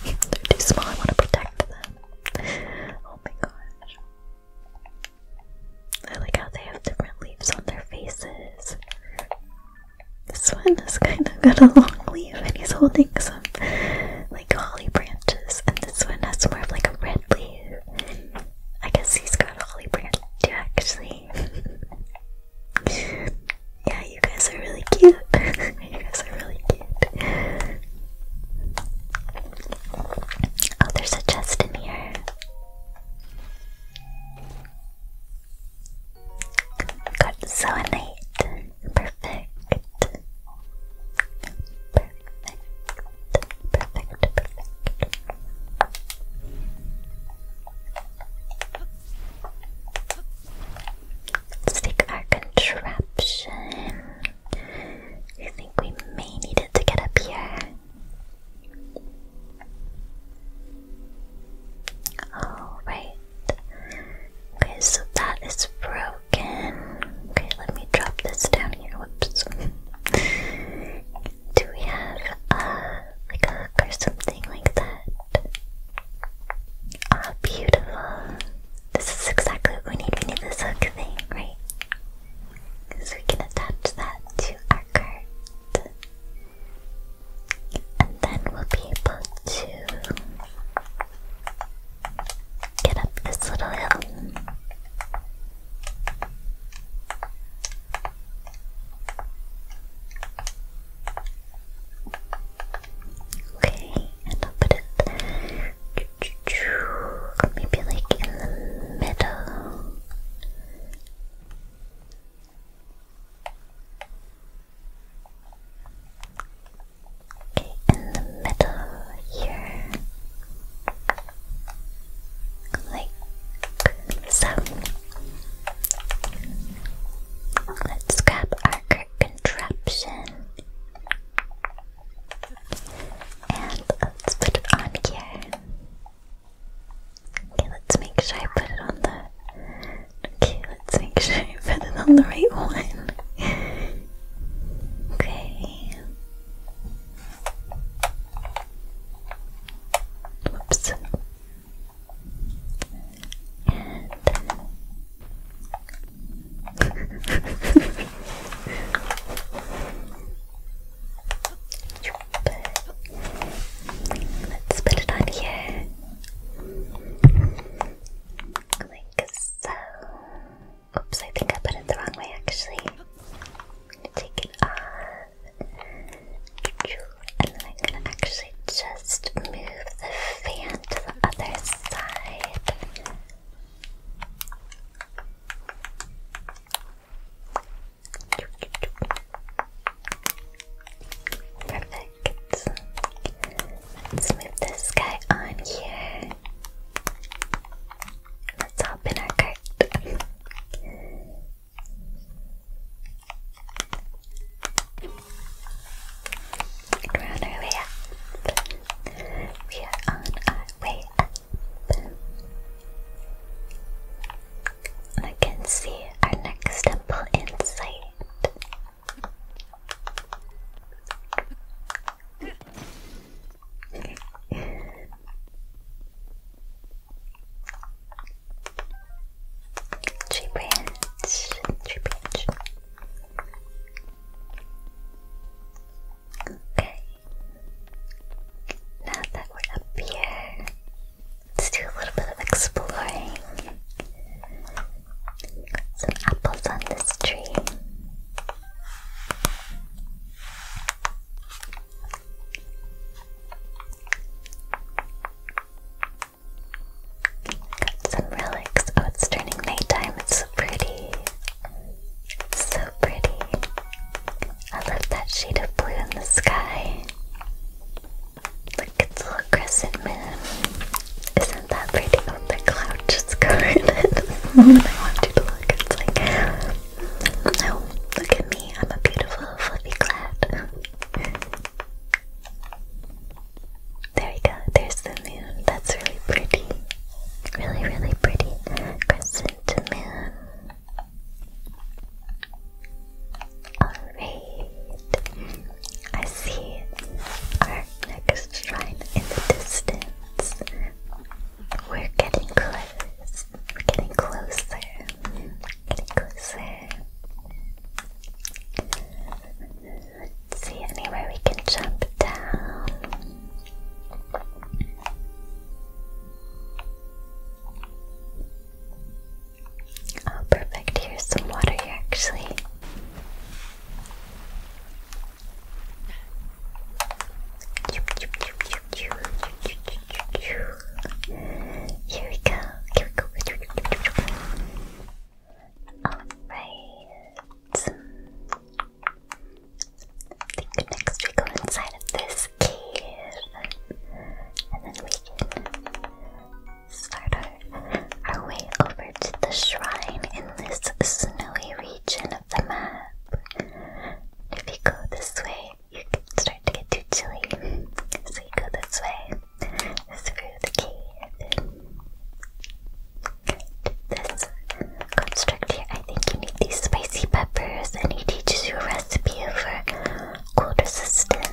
They're too small. I want to protect them. Oh my gosh. I like how they have different leaves on their faces. This one has kind of got a long leaf and he's holding some like holly branches, and this one has more of like a red leaf. I guess he's got a holly branch too, actually. [LAUGHS] yeah, you guys are really cute. [LAUGHS] you guys are really cute. Oh, there's a chest in here. Godzonite. Perfect. Perfect. Perfect. Perfect. Let's contraption. I think we may need it to get up here. Oh, right. Okay, so that is broken. Okay, let me drop this down here. Whoops. Do we have uh, like a hook or something like that? Ah, beautiful. This is exactly what we need. We need this hook thing, right? So we can attach that to our cart. And then we'll be able to get up this little hill. Okay, and I'll put it maybe like in the middle. Okay, in the middle here, like so. Let's grab our contraption and let's put it on here. Okay, let's make sure I put it on the Okay, let's make sure you put it on the right one. okay. Whoops. [LAUGHS] Let's put it on here. Like so. Oops, I think I put it the wrong way actually. take it off. And I'm gonna actually just move the fan to the other side. Perfect. Let's move this guy on here. Let's hop our cart. We're on our way We are on our way I can see our next temple in sight. Three brands, three Okay. Now that we're up here, Let's do a little bit of exploring. Some apples on this tree. Got some relics. Oh, it's turning nighttime. It's so pretty. It's so pretty. I love that shade of blue in the sky. Look, at a little crescent moon. Isn't that pretty on oh, the cloud just going [LAUGHS] in? [LAUGHS] I want you to look, it's like, no, oh, look at me, I'm a beautiful fluffy cloud. There we go, there's the moon. That's really pretty. Really, really pretty. Crescent moon. Alright. I see our next shrine in the distance. We're getting close. We're getting closer. Getting closer. Let's see anywhere we can jump down. Oh, perfect. Here's some water here, actually. Here we go. Here we go. Alright. think next we go inside of this cave. And then we start our, our way over to the shrine in this snowy region of the map. If you go this way, you can start to get too chilly. So you go this way, through the cave. This construct here, I think you need these spicy peppers, and he teaches you a recipe for cold resistance.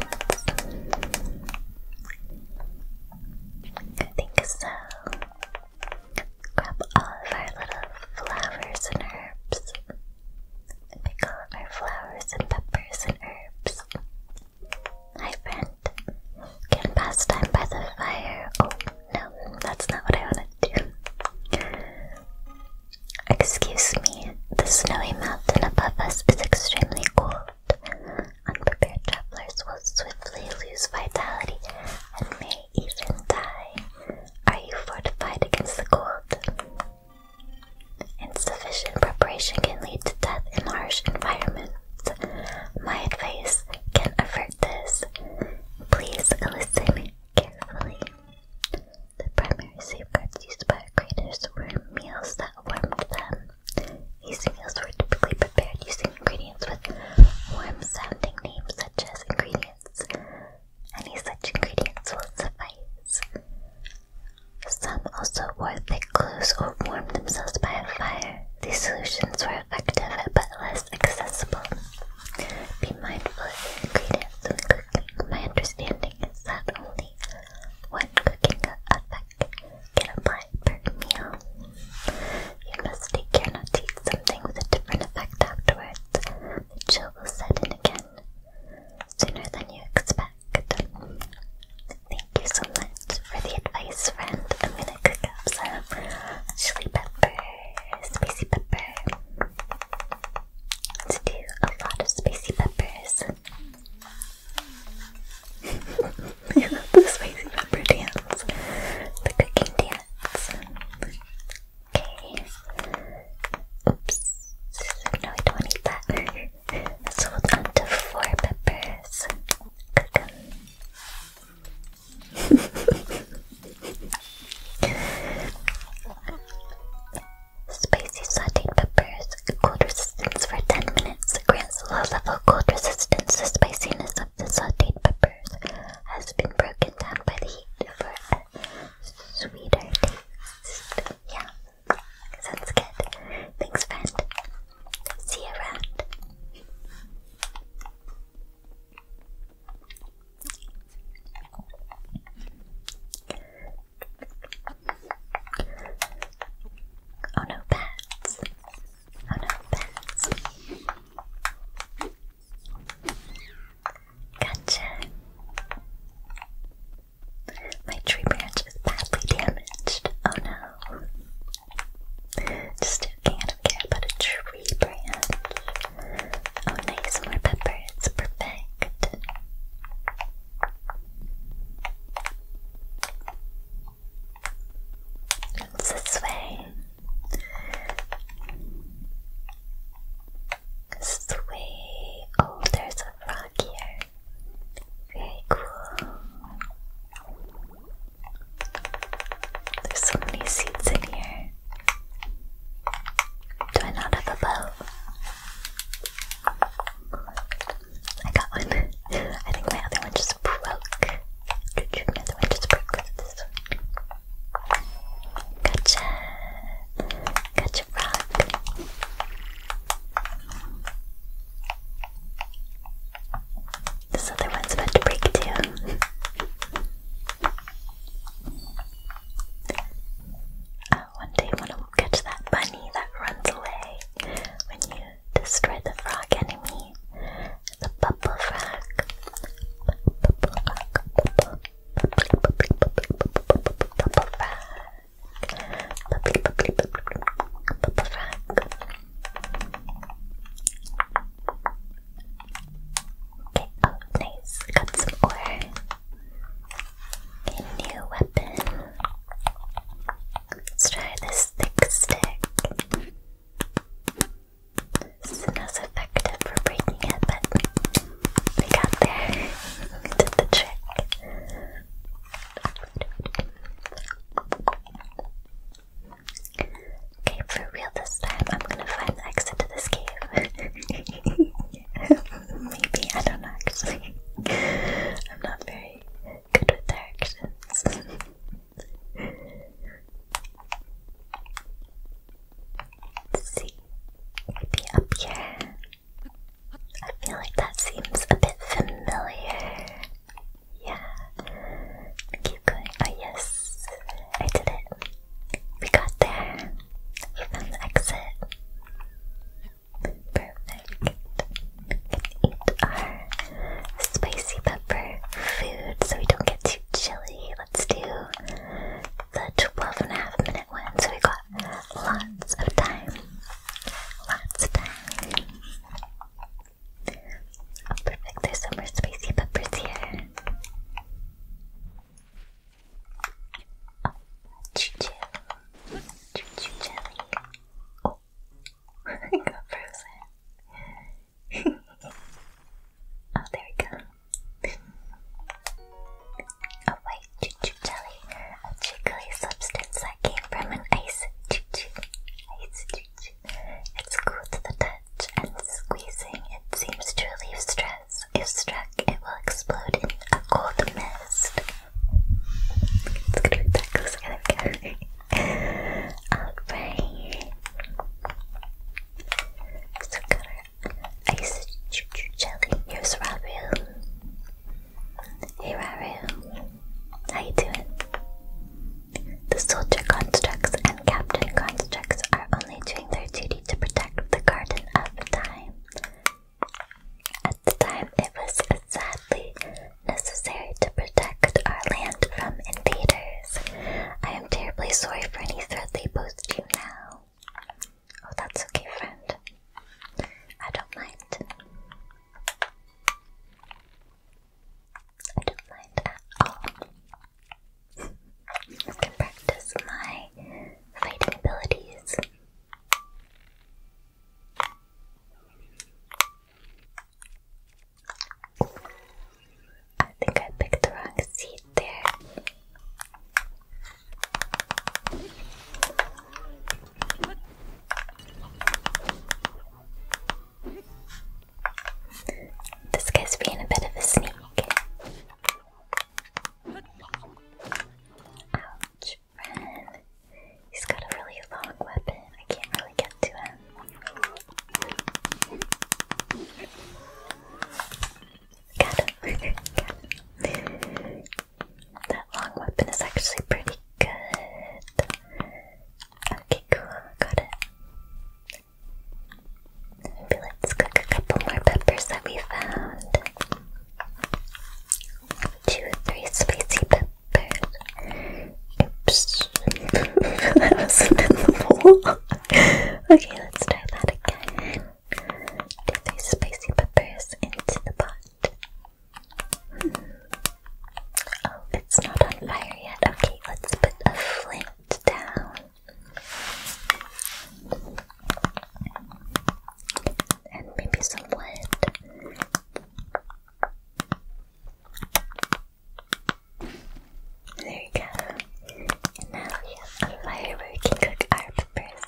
I think so. Grab all of our little flowers and herbs. Pick our flowers and peppers and herbs. Hi, friend. Can pass time by the fire. Oh, no, that's not what I wanted to Excuse me, the snowy mountain above us is extremely cold. Unprepared travelers will swiftly lose vitality and may even die. Are you fortified against the cold? Insufficient preparation can lead to death in harsh environments. My advice can avert this. Please listen carefully. The primary safeguards used by our creators were meals that warmed them. These meals were typically prepared using ingredients with warm-sounding names such as ingredients. Any such ingredients will suffice. Some also wore thick clothes or warmed themselves by a fire. These solutions were effective but less accessible. Be mindful of ingredients when cooking. My understanding is that only one cooking effect can apply it per meal. You must take care not to eat something with a different effect afterwards. The chill will set in again sooner than you expect. Thank you so much for the advice, friend. I'm gonna cook up some chili peppers, spicy pepper. let do a lot of spicy peppers. I love the spicy pepper dance. The cooking dance. Okay. Oops. No, I don't need that. Let's hold on to four peppers. [LAUGHS] Spicy sauteed peppers cold resistance for 10 minutes. Grants low-level cold resistance. The spiciness of the sauteed peppers has been broken down by the heat for a sweeter taste. Yeah, sounds good. Thanks, friend. See you around. Oh no, bats. Oh no, pens. Gotcha. My tree branch is badly damaged. Oh no. Just joking, I do a tree branch. Oh nice, more pepper. It's perfect. It's this way. This Oh, there's a rock here. Very cool. There's so many seats in here. Do I not have a bow? I got one. I think my other one just broke. My other one just broke because of this one. rock. This other one's about to break too. Oh, one day, when will catch that bunny that runs away when you destroy the frog enemy. The bubble frog. Okay, oh nice. Got some ore. A new weapon. Let's try this thick stick. This isn't as effective for breaking it, but we got there. [LAUGHS] did the trick. Okay, for real this time, I'm gonna find the exit to this cave. [LAUGHS] Maybe, I don't know actually. [LAUGHS] I'm not very good with their actions. up here. I feel like that seems a bit familiar. Yeah. Keep going. Oh, yes. I did it. We got there. We found the exit. Perfect we can eat our spicy pepper food so we don't get too chilly. Let's do the 12 and a half minute one, so we got lots of time. Lots of time. Oh, perfect, there's some more spicy peppers here. Oh, choo choo. I [LAUGHS] got frozen. [LAUGHS] oh, there we go. A white choo jelly, a jiggly substance that came from an ice choo Ice It's cool to the touch, and squeezing it seems to relieve stress. If struck, it will explode in a cold mist. Let's get it back closer. There Alright. So got our ice ch ch jelly. Here's Raru. Hey Raru. How you doing? The soldier constructs and captain constructs are only doing their duty to protect the garden of time. At the time, it was sadly necessary to protect our land from invaders. I am terribly sorry for any threat they post you now. Oh, that's okay, friend. I don't mind. I don't mind at all. I can practice my fighting abilities. I think I picked the wrong seat. there. This guy's being a bit of a sneak. Ouch, He's got a really long weapon. I can't really get to him. Got him. [LAUGHS] That long weapon is actually pretty good. Okay, cool. Got it. Maybe let's cook a couple more peppers that we found. Two, three spicy bed. Oops. I wasn't in the pool. okay, let's try that again. Dip these spicy peppers into the pot. Oh, it's not on fire yet. Okay, let's put a flint down. And maybe some wood. There you go. now we have a fire where we can cook our peppers.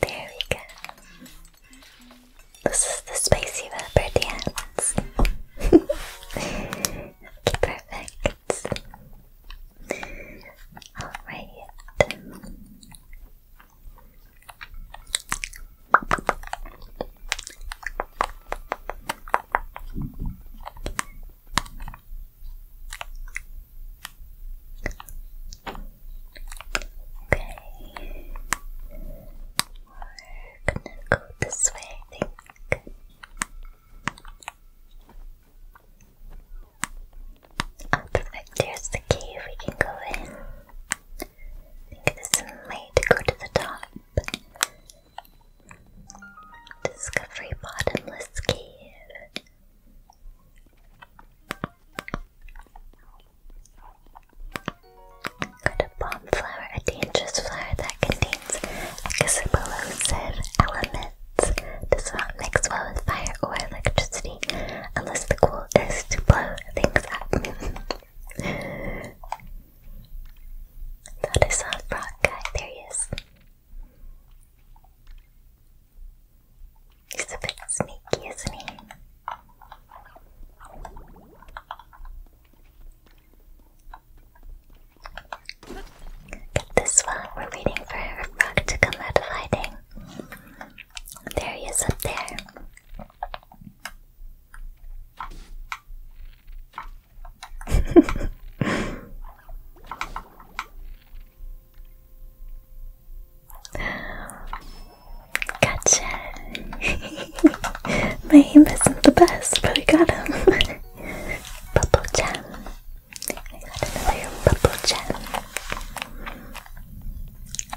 There we go. This is the spicy pepper dance. [LAUGHS] perfect. Alright. Okay. We're gonna go this way, I think perfect. There's the cave we can go in. I think this might go to the top. Discovery Bottomless Cave. Got bomb flower, a dangerous flower that contains explosive elements elements does not mix well with fire or electricity unless the goal is to blow things up. thought I saw a guy. There he is. He's a bit sneaky, isn't he? Get this one. We're waiting for a to come out of hiding. There he is up there. [LAUGHS] gotcha. [LAUGHS] My aim isn't the best, but I got him. [LAUGHS] Bubble jam. I got another bubble gem.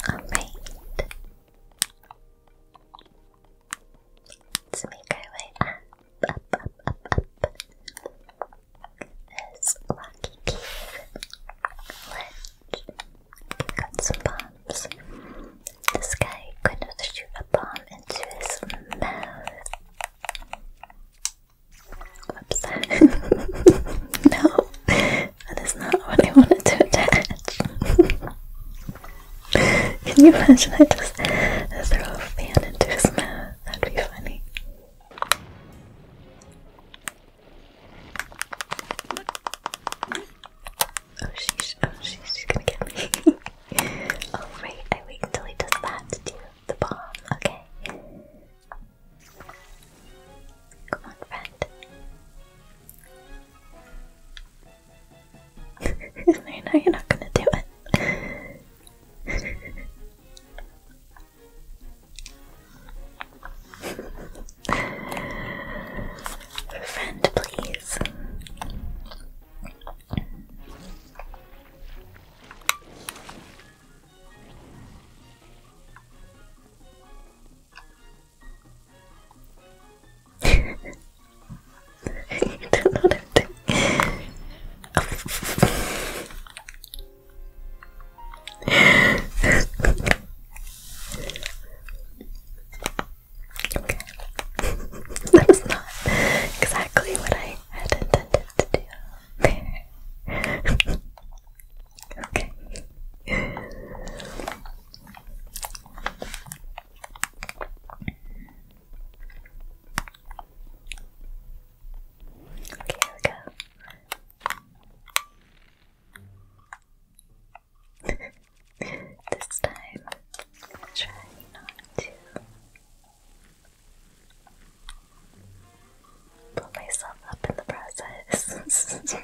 Alright. Let's make our way up, up, up, up, up. There's Rocky Cave. Ledge. We've some bombs. This guy could shoot a bomb into his mouth upset. [LAUGHS] no, that is not what I wanted to attach. Can you imagine I just throw a fan into his mouth? That'd be funny. Oh, she's, oh, she's, gonna get me. Oh [LAUGHS] wait, I wait until he does that to do the bomb. Okay. Come on, friend. [LAUGHS] no, you're not gonna do it. [LAUGHS] friend, please. I need to Okay. that was not exactly what I had intended to do. [LAUGHS] Okay. Okay, here we go. [LAUGHS] this time, try not to Put myself up in the process. [LAUGHS]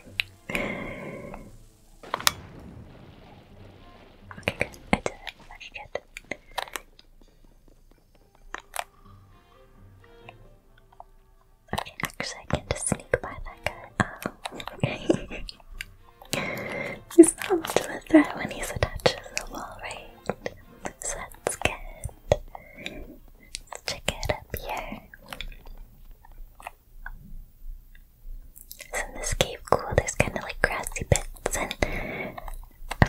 okay, good. I did it. Okay, good. Okay, actually, I can just sneak by that guy. okay. Um, [LAUGHS] he's not much of a threat when he's attached to the wall, right? So that's good. Let's check it up here. Isn't this cave cool? There's kind of like grassy bits and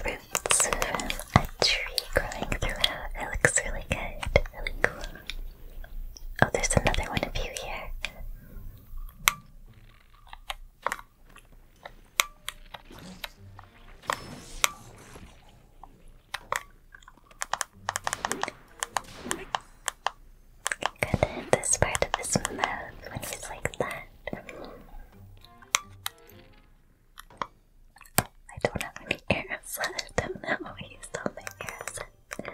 roots a tree growing throughout. It looks really good, really cool. Oh, there's another one of you here. Good at this part of his mouth when he's like that. I don't have any arrows [LAUGHS] I don't know. I used all my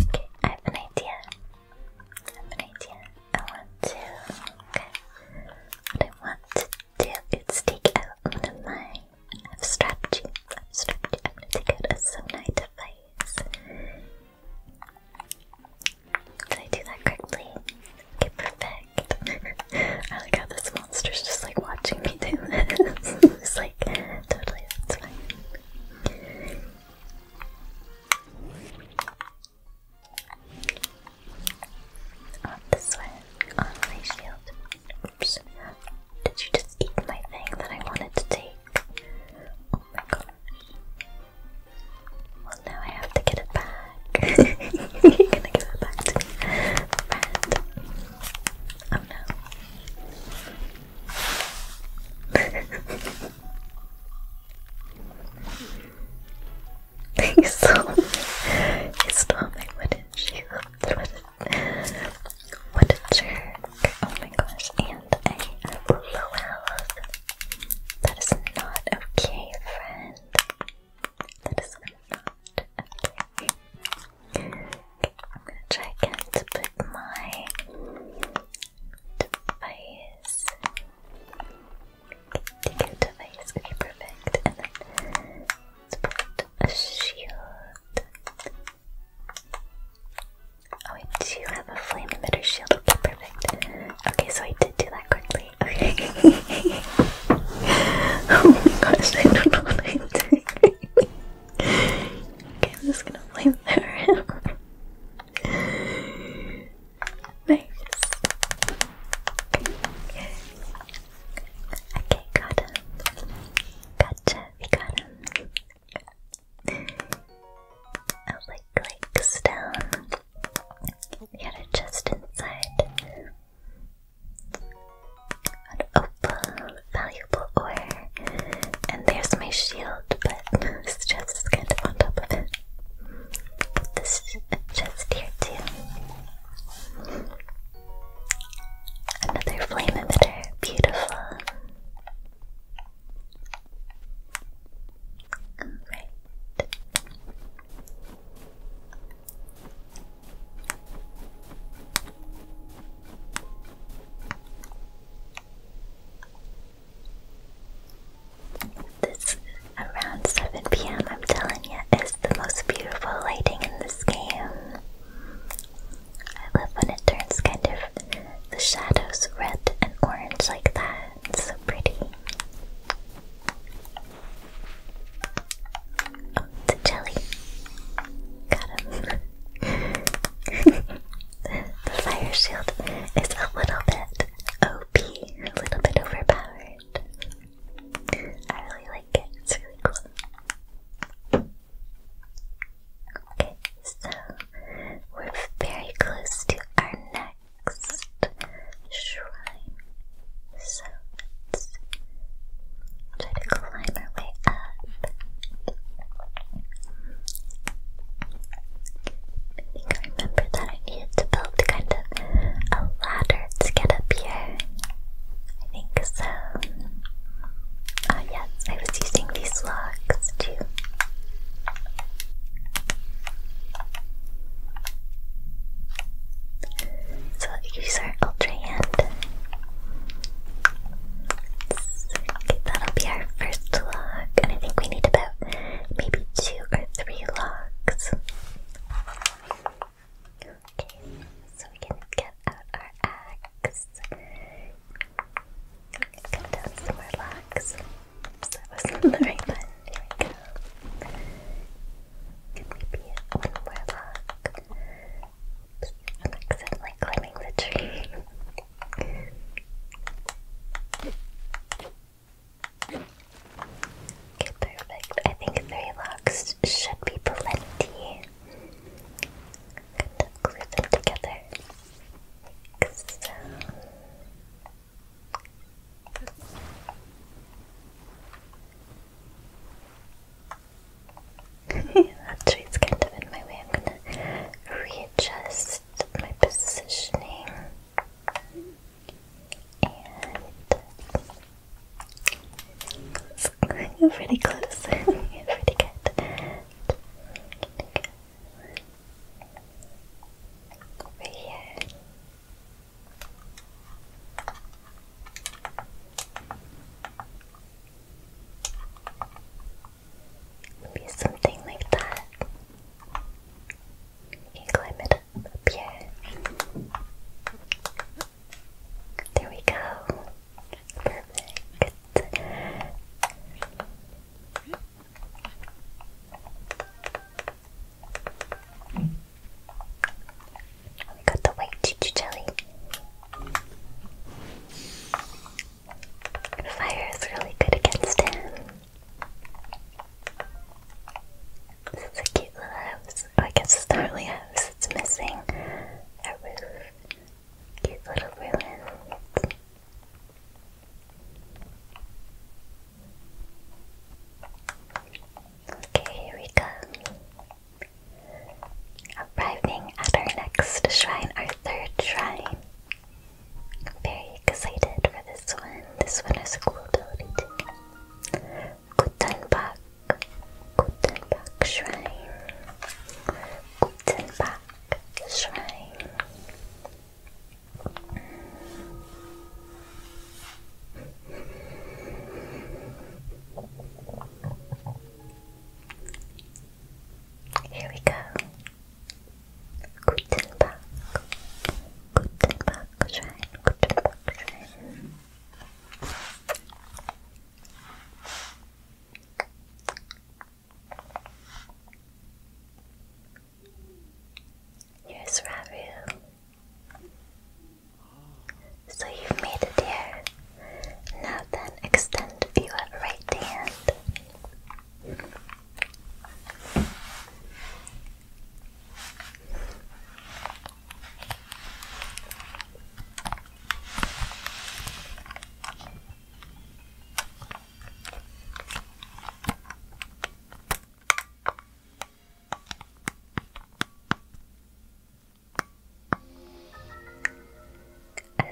Okay, I have an idea. I have an idea. I want to. Okay. I want to do is take out one of my. I've strapped you. I've strapped you. I'm gonna take out a sonar device. Did I do that correctly? Okay, perfect. [LAUGHS] I like how this monster's just like watching me do this. [LAUGHS] it's like totally that's fine. On this one, on my shield. Oops. Did you just eat my thing that I wanted to take? Oh my god! Well, now I have to get it back. [LAUGHS] You're gonna give it back to me, friend. Oh no. [LAUGHS] he saw [LAUGHS] me. He saw my wooden shoe. What what a jerk. Oh my gosh. And I blew That is not okay, friend. That is not okay. try again to put my device to go to face. Okay, perfect. And then let a shield. Oh, I do have a flame emitter shield. perfect. Okay, so I did do that quickly. Okay. [LAUGHS] oh my gosh, I don't know am okay, I'm just gonna flame there. nice. Okay, got him. Gotcha, we got him. Oh, like, like, stone. We got it just inside. An opal, valuable ore. And there's my shield, but this chest kind of on top of it. This chest here, too. Another flame emitter, beautiful. This around 7 pm, I'm telling you, is the most beautiful lighting in the game. I love when it turns kind of the shadows red and orange like that. It's so pretty. Oh, it's a jelly. Got him. [LAUGHS] the fire shield is a little bit OP, a little bit overpowered. I really like it, it's really cool. Okay, so we're very close to our next shrine. So let's try to climb our way up. I think I remember that I needed to build kind of a ladder to get up here? I think so. oh, yes, I was using these logs too. So let's use our ultra hand. Okay, that'll be our first log, and I think we need about maybe two or three logs. Okay, so we can get out our axe. Come down some more logs. that wasn't the right one. Here we go. Could we be one more I'm accidentally climbing the tree. Okay, perfect. I think three locks should be plenty. I'm going them together. so. [LAUGHS] that tree's kind of in my way. I'm gonna readjust my positioning you're pretty close. [LAUGHS] You're pretty good. Over here. Maybe something like that. You can climb it up, up there we go. Perfect. got the white choo jelly. Fire is really good against him. This is a cute little house. Oh, I guess it's not really a house, it's missing a roof. Cute little ruins. Okay, here we go. Arriving at our next shrine, our third shrine. very excited for this one. This one has a cool ability too. Gutenbach, Gutenbach Shrine, Gutenbach Shrine. Here we go. Gutenbach, Gutenbach Shrine, Gutenbach Shrine. Yes, Ravi. So you've made it here. Now then, extend your right hand.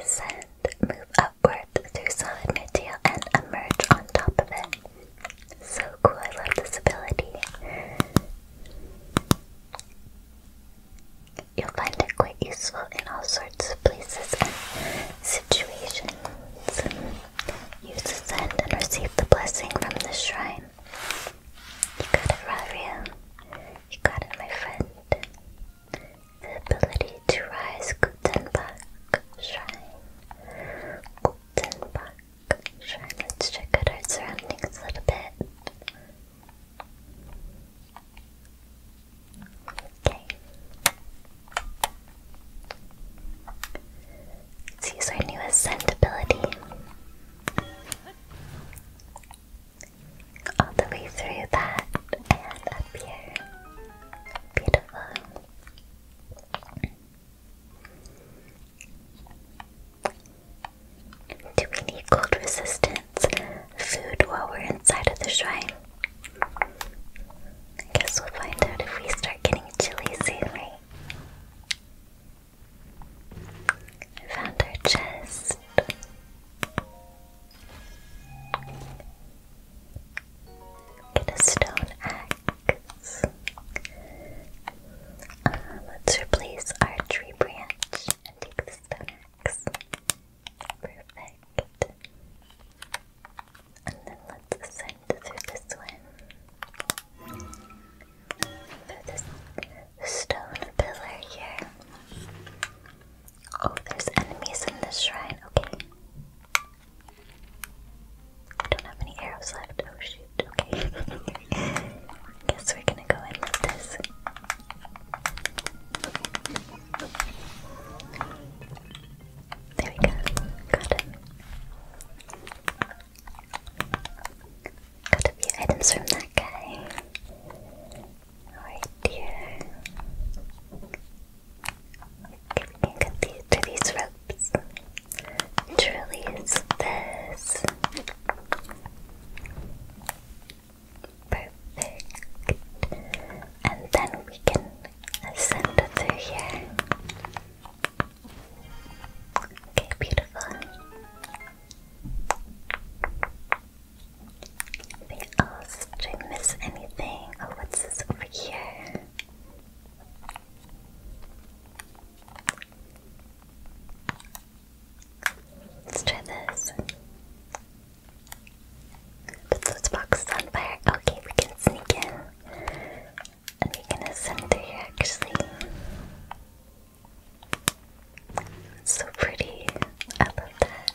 Ascend, move upward through solid material and emerge on top of it. So cool, I love this ability. You'll find it quite useful in all sorts of places and situations. Use the send and receive the blessing from the shrine. You got it, Raria. You got it, my friend. The ability to rise Gutenbach Shrine. Gutenbach Sure, let's check out our surroundings a little bit. Okay. use our new ascent ability. All the way through that and up here. Beautiful. Do we need cold resistance food while we're inside of the shrine? I guess we'll find out if we start getting chilly soon, right? I found our chest. Get a stone axe let's replace our tree branch and take the stone Perfect. And then let's ascend through this one. Through this stone pillar here. Oh, there's enemies in the shrine. Okay. don't have any arrows left. Oh shoot. Okay. Guess we're gonna go in with this. There we go. Got him. Got a few items from that guy. Alright, dear. Okay, we can get these to these ropes. Truly is this. Perfect. And then we can send it through here. Okay, beautiful. Anything else? Did I miss anything? Oh, what's this over here? Let's try this. Put those boxes on fire. Okay, we can sneak in. And we can ascend through here actually. so pretty. I love that.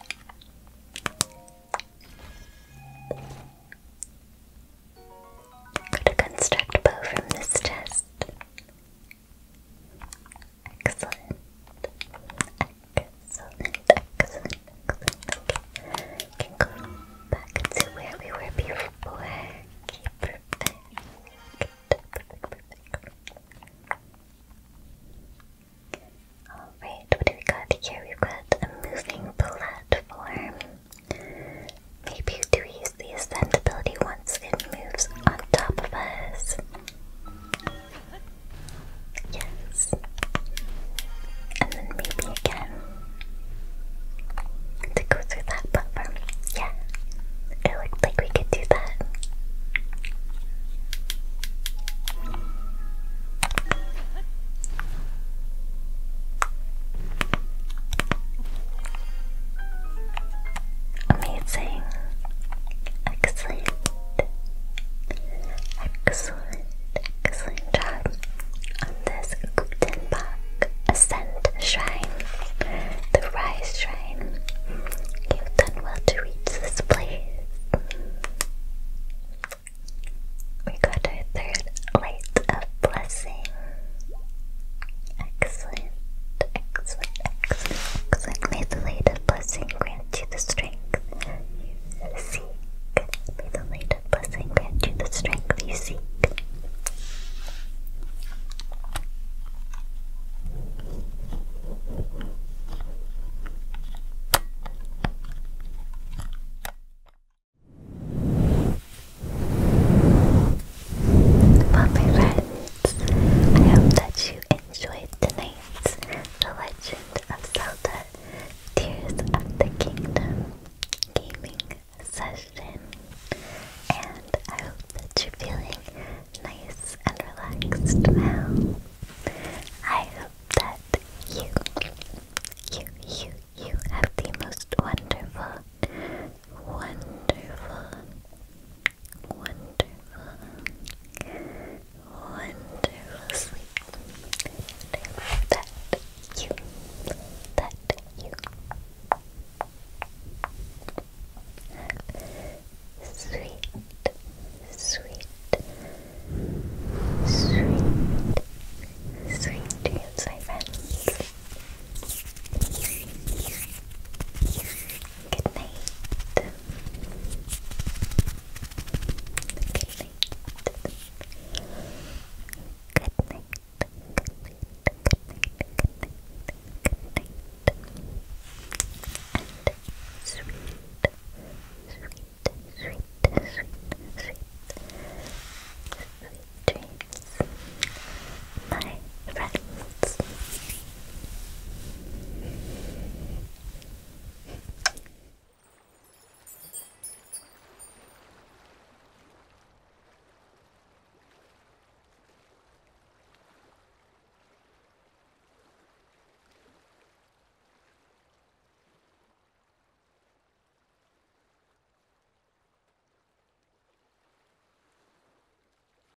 Got a construct bow from this chest. Excellent. Excellent. Excellent. Excellent. Okay. can go back to where we were before. perfect. Alright, what do we got here? We've got a moving platform. Maybe do use the ascendability one once it moves on top of us. Yes. And then maybe again. To go through that platform. Yeah. It looked like we could do that. Amazing. Excellent. Excellent. Excellent job on this Guptenbach Ascent Shrine. The Rise Shrine. You've done well to reach this place. We got our third light of blessing. Excellent, excellent, excellent, May the latest blessing grant you the strength you seek. May the latest blessing grant you the strength you seek. Well, my I hope that you enjoyed tonight's The Legend of Zelda Tears of the Kingdom gaming session. And I hope that you're feeling nice and relaxed now. I hope that you, you, you, you have the most wonderful Wonderful, wonderful, wonderful That you, that you have sweet, sweet, sweet, sweet dreams, Good night. Good night. Good night. And sweet, sweet, sweet, sweet, sweet, sweet dreams my friends.